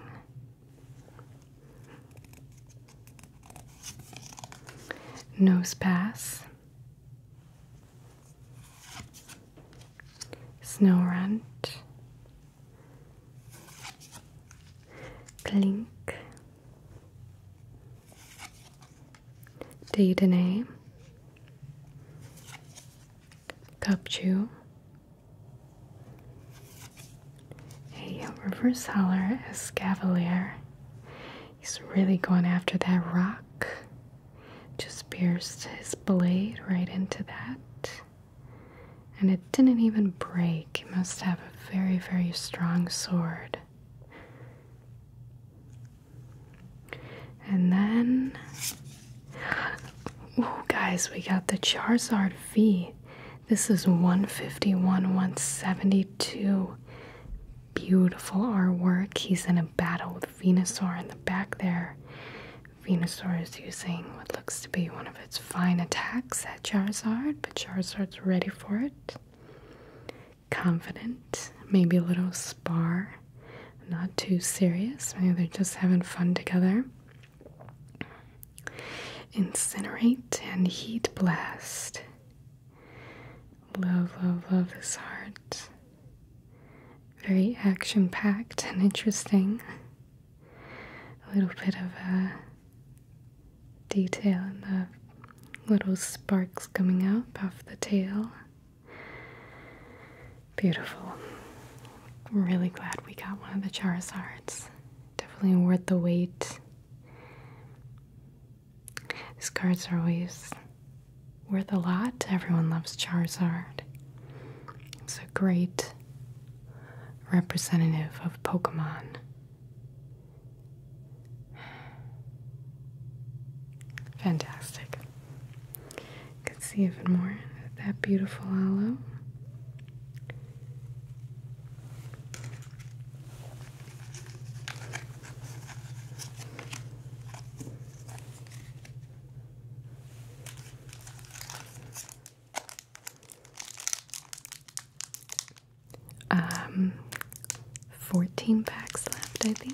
Nose pass, snow runt, Blink. Daytonay, Cupchew, a reverse holler as He's really going after that rock. Just pierced his blade right into that. And it didn't even break. He must have a very, very strong sword. And then, oh guys, we got the Charizard V. This is 151, 172. Beautiful artwork. He's in a battle with Venusaur in the back there. Venusaur is using what looks to be one of its fine attacks at Charizard, but Charizard's ready for it confident, maybe a little spar, not too serious. Maybe they're just having fun together. Incinerate and heat blast. Love, love, love this heart. Very action packed and interesting. A little bit of a uh, detail in the little sparks coming up off the tail. Beautiful. I'm really glad we got one of the Charizards. Definitely worth the wait. These cards are always worth a lot. Everyone loves Charizard. It's a great representative of Pokemon. Fantastic. Can see even more that beautiful aloe. Um, 14 packs left, I think.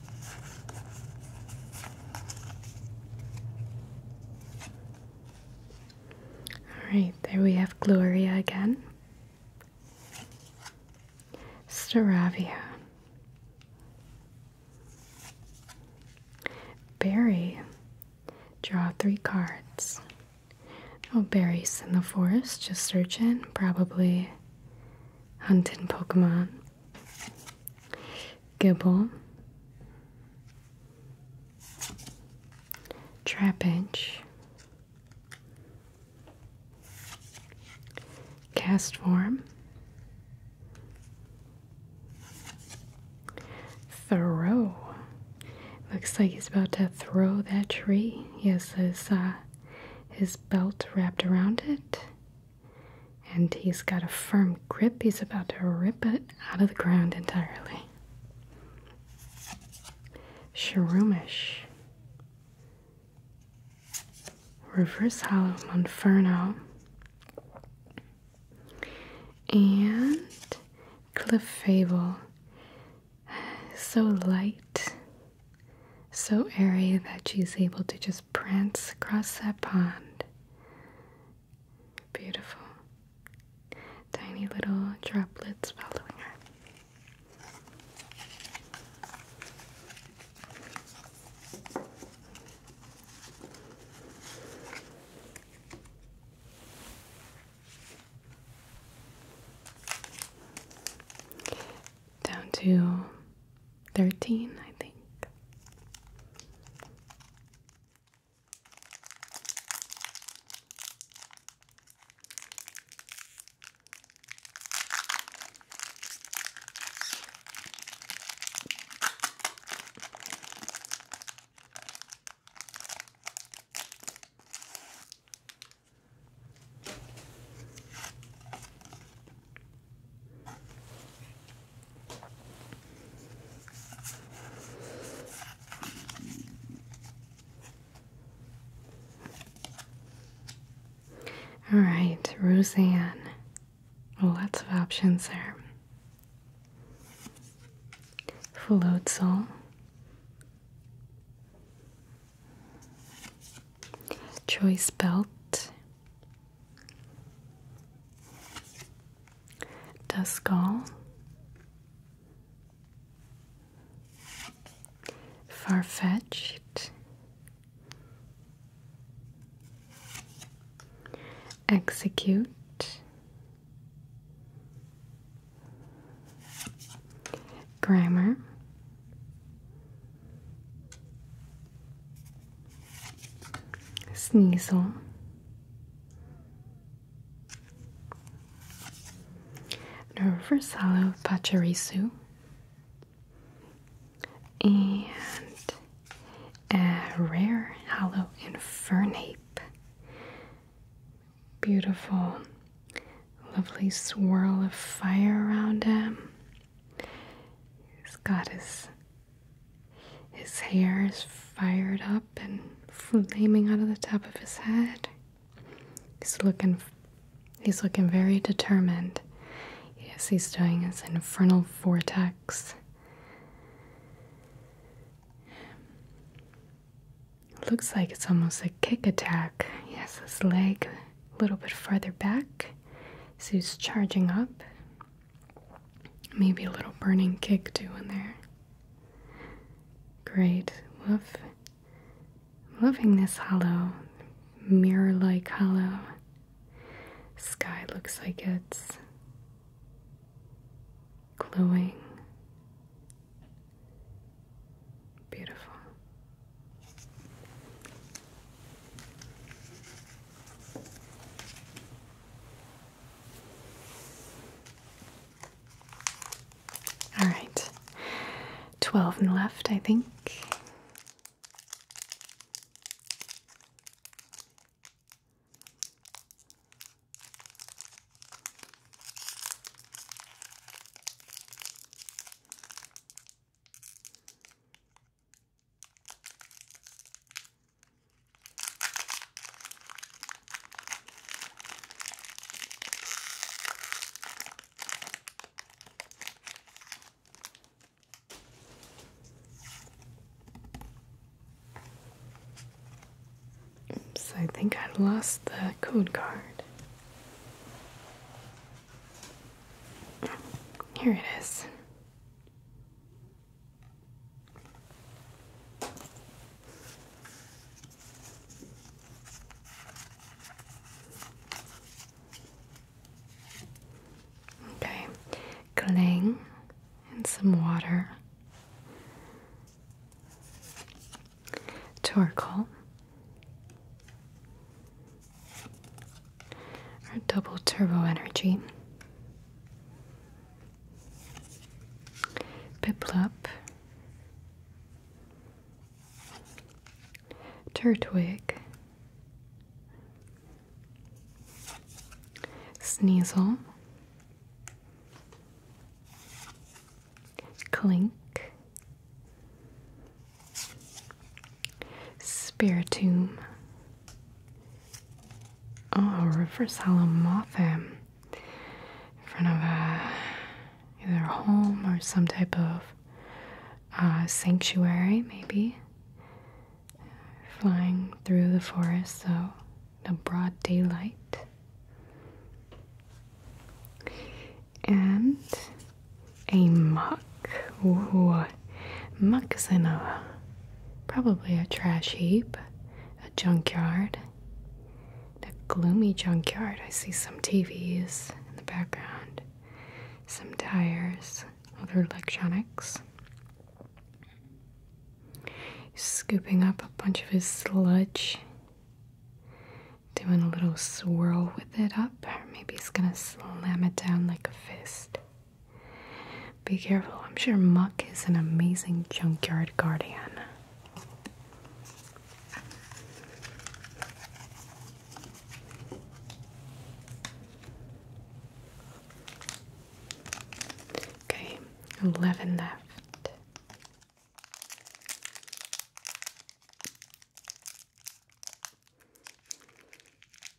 Alright, there we have Gloria again. Staravia. Barry. Draw three cards. Oh, berries in the forest, just searching, probably hunting Pokemon gibble, trapinch, cast form, throw. Looks like he's about to throw that tree. He has his, uh, his belt wrapped around it and he's got a firm grip. He's about to rip it out of the ground entirely. Shroomish. Reverse Hollow Monferno. And Cliff Fable. So light, so airy that she's able to just his across that pond. Beautiful. Tiny little droplets following her. Down to 13, I think. All right, Roseanne. Lots of options there. Floatzel. Choice belt. Far-fetched. Execute, Grammar. Sneasel, the reverse hollow Pachirisu, and a rare hollow Infernape. Beautiful, lovely swirl of fire around him. His goddess his hair is fired up and flaming out of the top of his head. He's looking he's looking very determined. Yes, he's doing his infernal vortex. Looks like it's almost a kick attack. Yes, his leg a little bit further back. So he's charging up. Maybe a little burning kick too in there. Great. Love loving this hollow. Mirror-like hollow. Sky looks like it's glowing. Beautiful. All right, 12 and left, I think. So I think I lost the code card. Here it is. Okay, cling and some water, charcoal, our double turbo energy. Piplup, Turtwig, Sneasel, Clink, Spiritomb, Oh, reverse halomotham in front of uh, either a home or some type of uh, sanctuary, maybe. Flying through the forest, so the broad daylight. And a mock. what. Muck is in a probably a trash heap, a junkyard, a gloomy junkyard. I see some TVs in the background, some tires, other electronics. scooping up a bunch of his sludge, doing a little swirl with it up, maybe he's gonna slam it down like a fist. Be careful. I'm sure Muck is an amazing junkyard guardian. Okay, 11 left.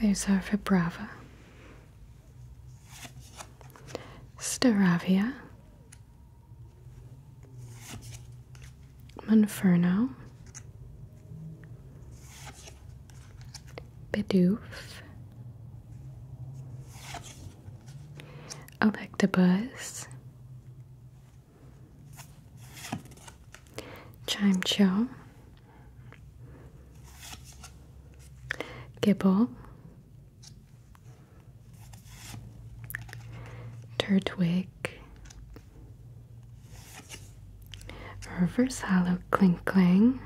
There's our Vibrava. Staravia. Monferno. Bidoof. Electabuzz. Chimcho. Gibble, Turtwig, Reverse Hollow Clink Clang,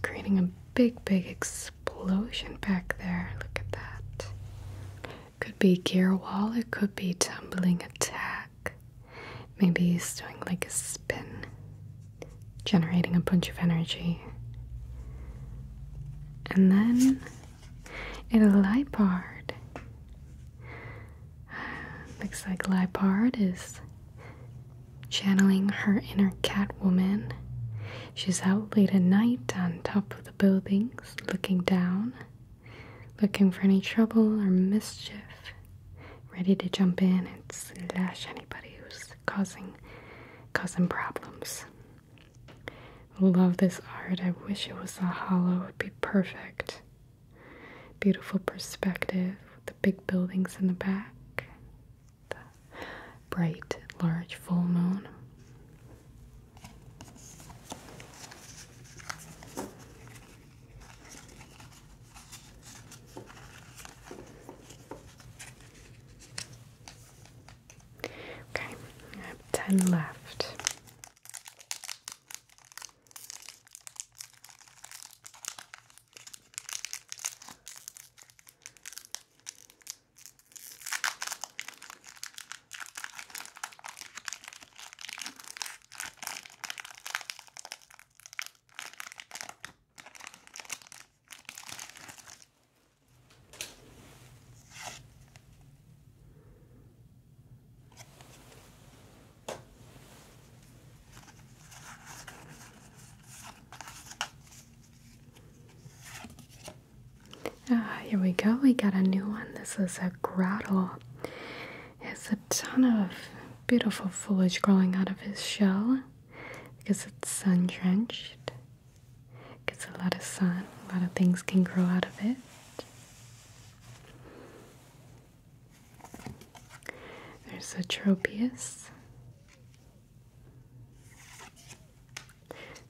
creating a big, big explosion back there. Look at that. Could be gear wall, it could be tumbling attack. Maybe he's doing like a spin, generating a bunch of energy. And then it'll Lipard. *sighs* Looks like Lipard is channeling her inner Catwoman. She's out late at night on top of the buildings, looking down, looking for any trouble or mischief ready to jump in and slash anybody who's causing causing problems. Love this art. I wish it was a hollow. It'd be perfect. Beautiful perspective the big buildings in the back. The bright, large full moon. Okay, I have ten left. Ah, here we go. We got a new one. This is a grottle has a ton of beautiful foliage growing out of his shell because it's sun drenched. gets a lot of sun, a lot of things can grow out of it. There's a tropius,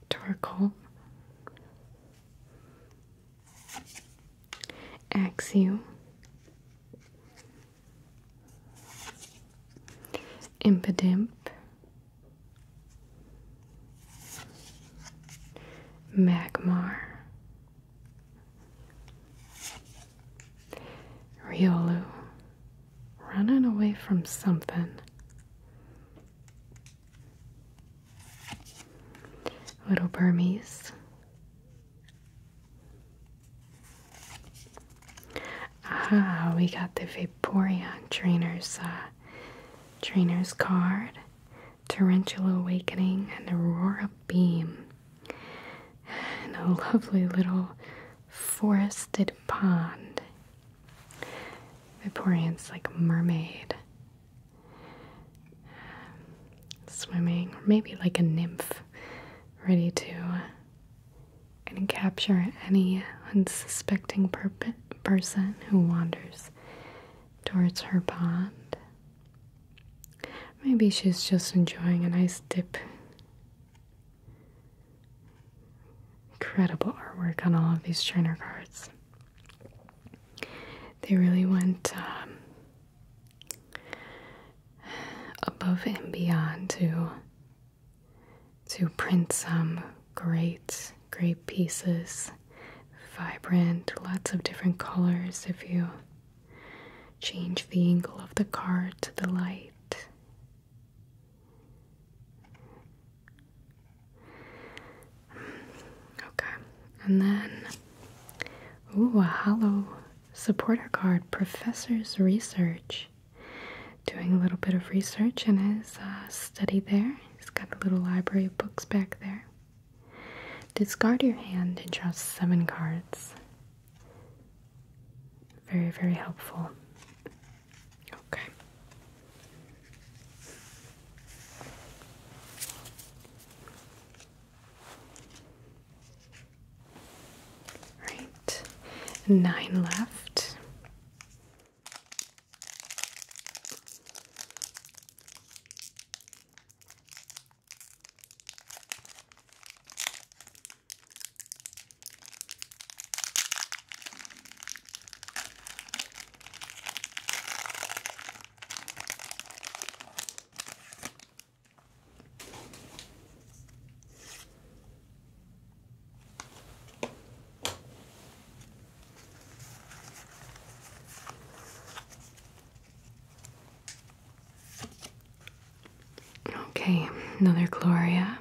torkoal, axiom, Impidimp, Magmar, Riolu, running away from something. Little Burmese, Ah, we got the Vaporeon Trainer's uh, Trainer's card, Tarantula Awakening, and Aurora Beam, and a lovely little forested pond. Vaporeon's like a mermaid. Um, swimming, or maybe like a nymph, ready to and capture any unsuspecting person who wanders towards her pond. Maybe she's just enjoying a nice dip. Incredible artwork on all of these trainer cards. They really went um, above and beyond to to print some great great pieces vibrant lots of different colors if you change the angle of the card to the light okay and then ooh a hollow supporter card, professor's research. Doing a little bit of research in his uh, study there. He's got a little library of books back there. Discard your hand and draw seven cards. Very, very helpful. Okay. Right, nine left. Okay, another Gloria.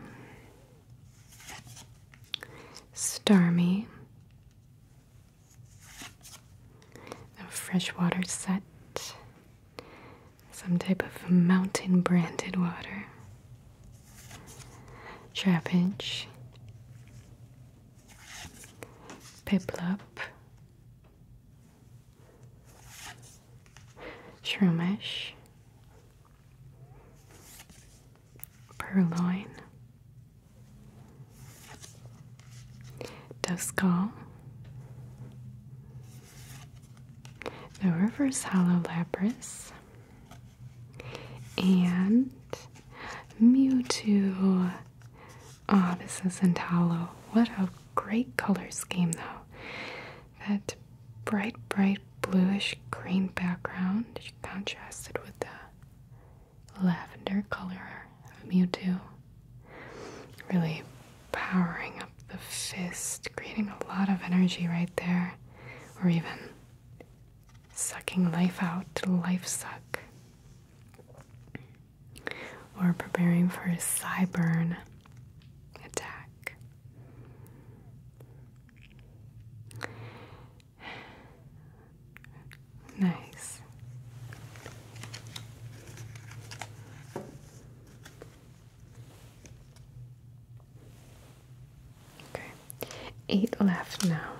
Starmie. A freshwater set some type of mountain branded water. Trapinch, Piplup, Shroomish, Purloin, Doveskull, the reverse hollow Lapras, and Mewtwo. Oh, this isn't hollow. What a great color scheme, though. That bright, bright bluish green background contrasted with the lavender color of Mewtwo. Really powering up the fist, creating a lot of energy right there, or even sucking life out, to life suck, or preparing for a cybern attack. Nice. Okay, eight left now.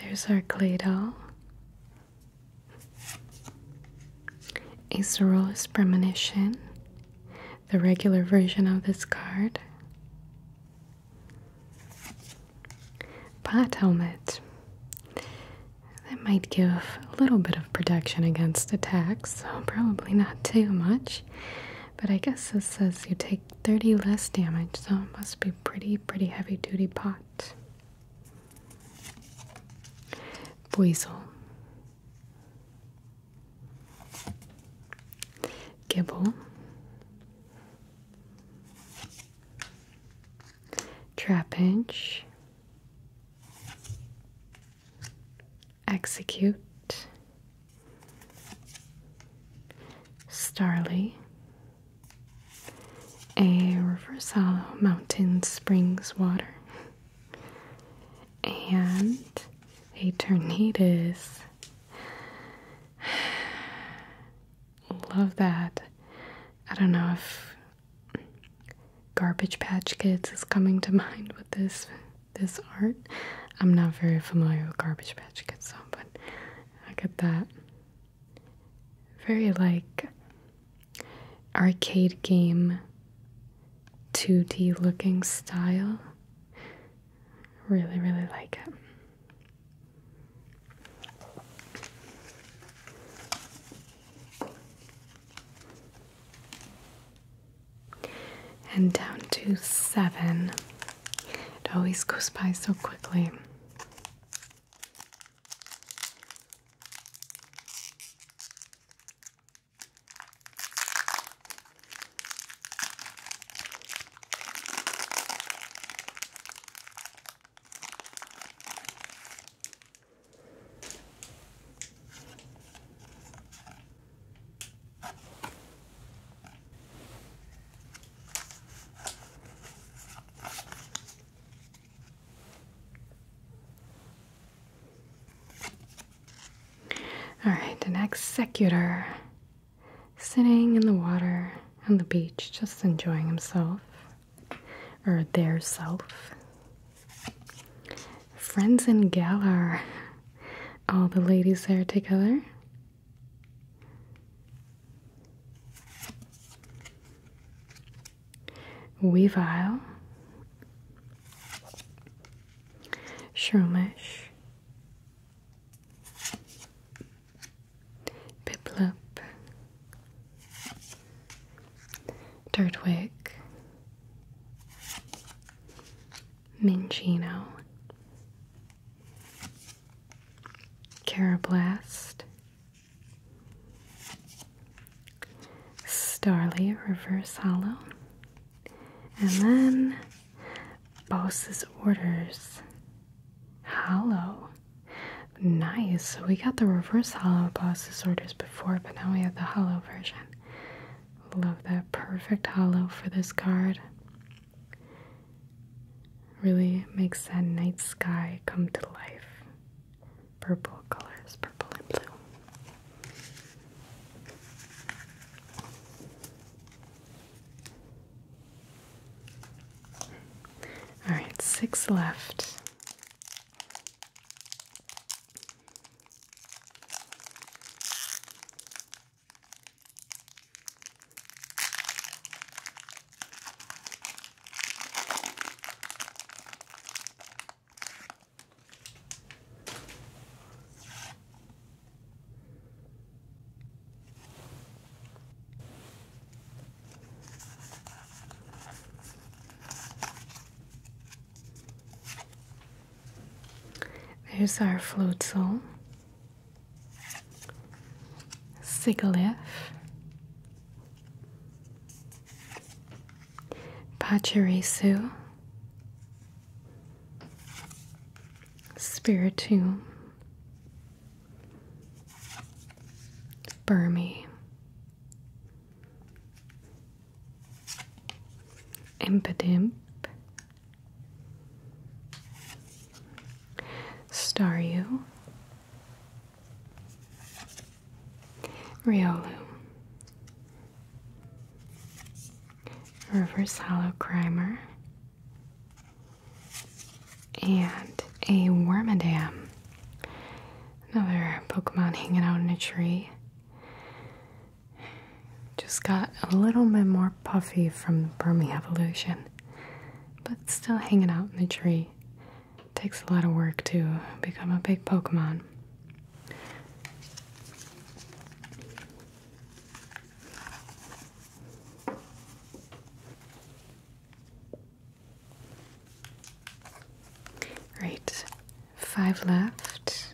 There's our clay doll. Acerolus Premonition, the regular version of this card. Pot helmet. That might give a little bit of protection against attacks, so probably not too much. But I guess this says you take 30 less damage, so it must be pretty, pretty heavy duty pot. Buizel. Gibble. Trapinch, execute, starly, a reverse hollow mountain springs water, and a tornadoes love that. I don't know if Garbage Patch Kids is coming to *laughs* mind with this this art. I'm not very familiar with Garbage Patch Kids, so but I get that. Very like arcade game 2D looking style. Really, really like it and down to seven. It always goes by so quickly. All right, an executor sitting in the water on the beach, just enjoying himself or their self. Friends in Galar, all the ladies there together. Weavile, Shroomish, Piplup, Dirtwig, Minchino, Carablast, Starly Reverse Hollow, and then Boss's Orders Hollow. Nice. So we got the reverse hollow Boss orders before, but now we have the hollow version. Love that perfect hollow for this card. Really makes that night sky come to life. Purple colors, purple and blue. All right, six left. There's our flute sole, cigaliff, pachirisu, spiritum, Burmy, Impidimp, Staryu, Riolu, Reverse Hollow Crimer, and a Wormadam. Another Pokemon hanging out in a tree. Just got a little bit more puffy from Burmy Evolution, but still hanging out in the tree. Takes a lot of work to become a big Pokemon. Right, five left.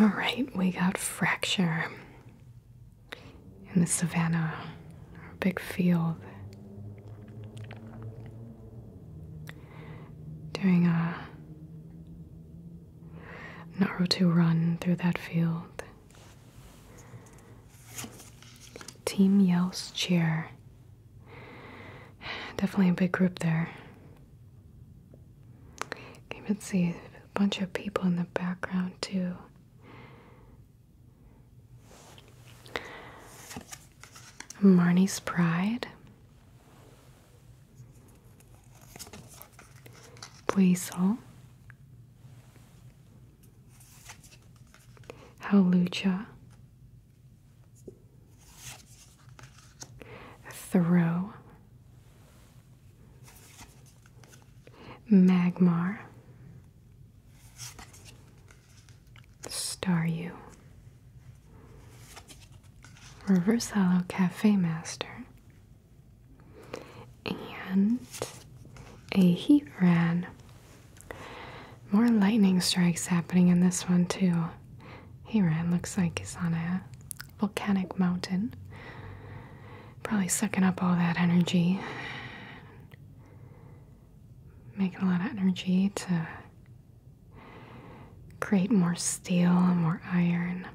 All right, we got fracture in the savannah, our big field. Doing a Naruto run through that field. Team Yells Cheer. Definitely a big group there. You can see a bunch of people in the background too. Marnie's Pride. Weasel. Howlucha, Thoreau, Magmar, Staryu, Reverse Hollow Cafe Master, and a heat ran. More lightning strikes happening in this one, too. He ran. looks like he's on a volcanic mountain. Probably sucking up all that energy. Making a lot of energy to create more steel and more iron.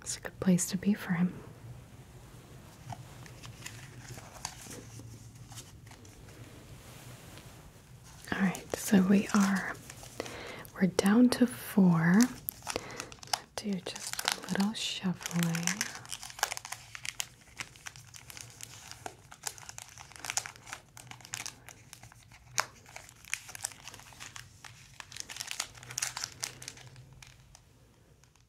It's a good place to be for him. All right, so we are we're down to four. Do just a little shuffling.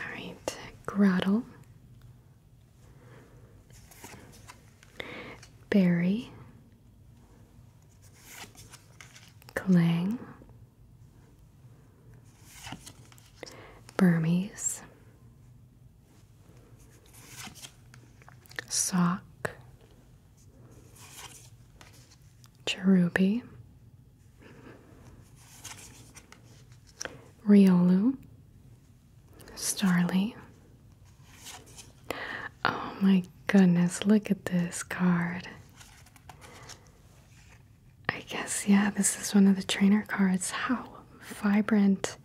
All right, Grottle, Berry, Clang, Burmese, sock, cheruby, riolu, starly. Oh my goodness, look at this card. I guess, yeah, this is one of the trainer cards. How vibrant.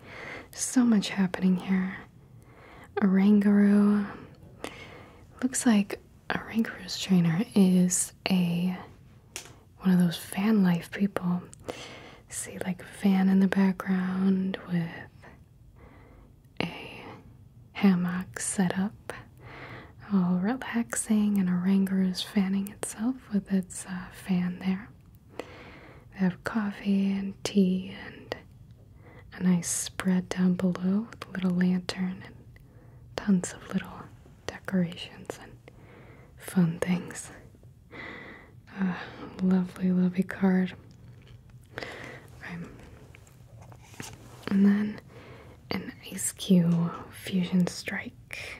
So much happening here. A Rangaroo. Looks like a Rangaroo's trainer is a one of those van life people. See like a van in the background with a hammock set up all oh, relaxing, and a Ranger is fanning itself with its uh, fan there. They have coffee and tea and a nice spread down below with a little lantern and tons of little decorations and fun things. Ah, lovely, lovely card. And then an Ice Cube Fusion Strike.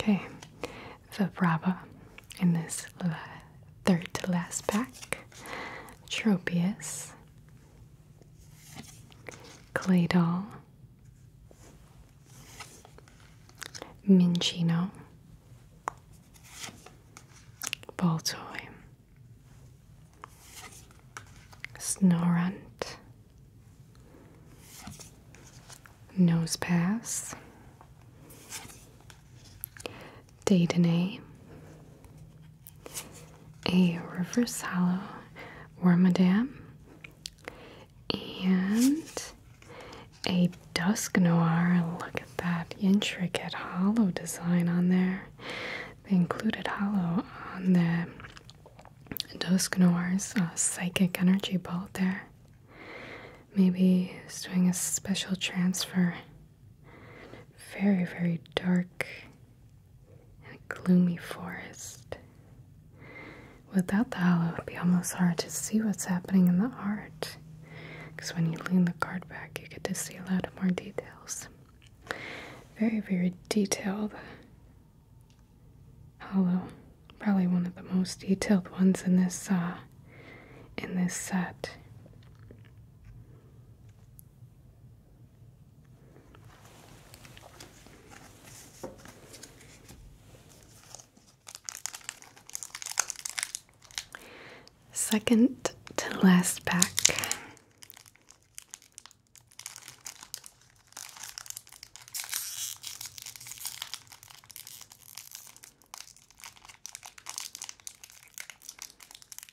Okay, the Brava in this third to last pack. Tropius, Claydol, Minchino, Baltoy, Snorunt, Nosepass, Daytonay, a reverse hollow Wormadam, and a Dusk Noir. Look at that intricate hollow design on there. The included hollow on the Dusk Noir's uh, psychic energy bolt there. Maybe it's doing a special transfer very, very dark and gloomy forest. Without the halo, it'd be almost hard to see what's happening in the art. Because when you lean the card back, you get to see a lot more details. Very, very detailed hollow. Probably one of the most detailed ones in this uh, in this set. Second to last pack.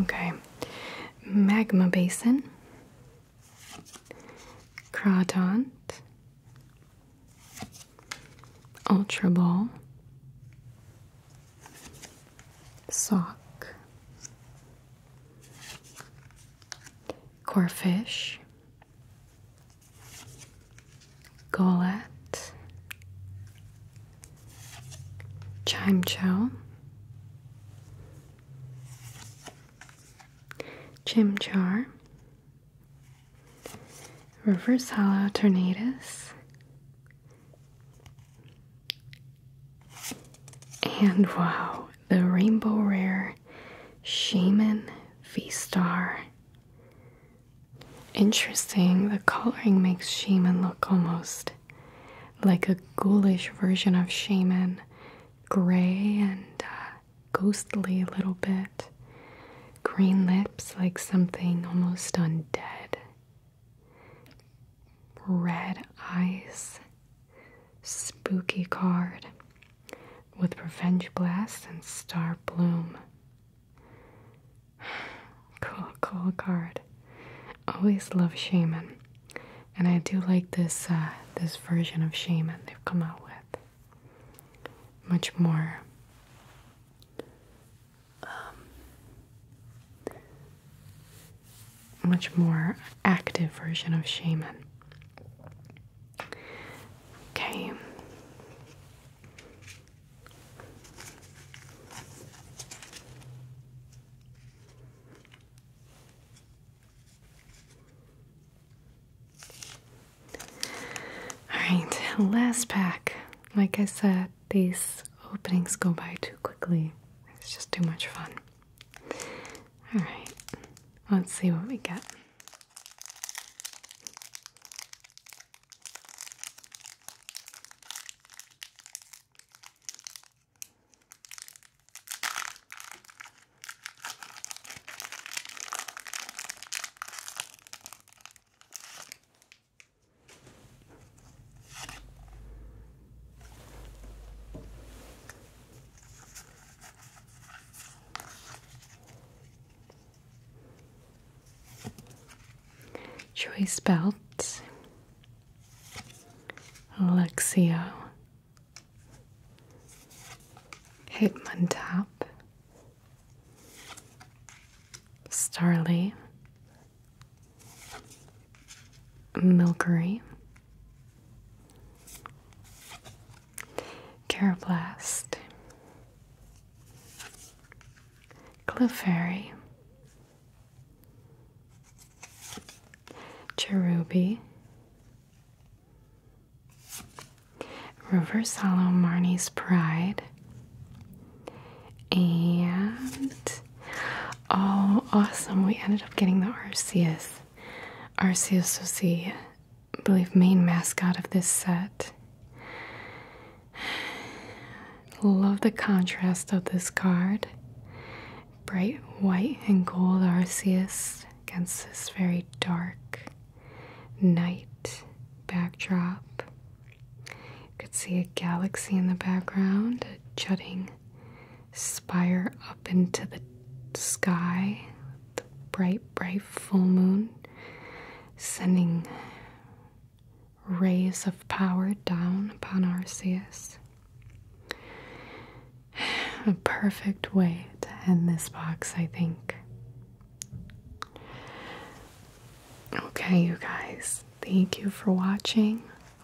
Okay. Magma basin. Crawdont. Ultra ball. Sock. corfish, Golette. Chimcho, Chimchar, Reverse Hollow Tornadoes, and wow, the Rainbow Rare Shaman V Star. Interesting, the coloring makes Shaman look almost like a ghoulish version of shaman, gray and uh, ghostly a little bit, green lips like something almost undead, red eyes, spooky card with revenge blast and star bloom. *sighs* Cool, cool card. Always love shaman and I do like this uh, this version of Shaman they've come out with. Much more um, much more active version of Shaman. Okay. Alright, last pack. Like I said, these openings go by too quickly. It's just too much fun. Alright, let's see what we get. Choice belts Luxio, Hitmontop, Starly, Milky, Carablast, Clefairy, Cherubi, Reverse Hollow Marnie's Pride, and oh, awesome! We ended up getting the Arceus. Arceus was the, believe, main mascot of this set. Love the contrast of this card bright white and gold Arceus against this very dark night backdrop. You could see a galaxy in the background, a jutting spire up into the sky, the bright, bright full moon sending rays of power down upon Arceus. *sighs* A perfect way to end this box, I think. Okay, you guys, thank you for watching.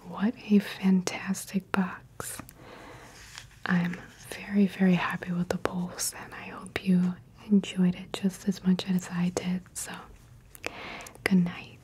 What a fantastic box! I'm very, very happy with the polls, and I hope you enjoyed it just as much as I did. So, good night.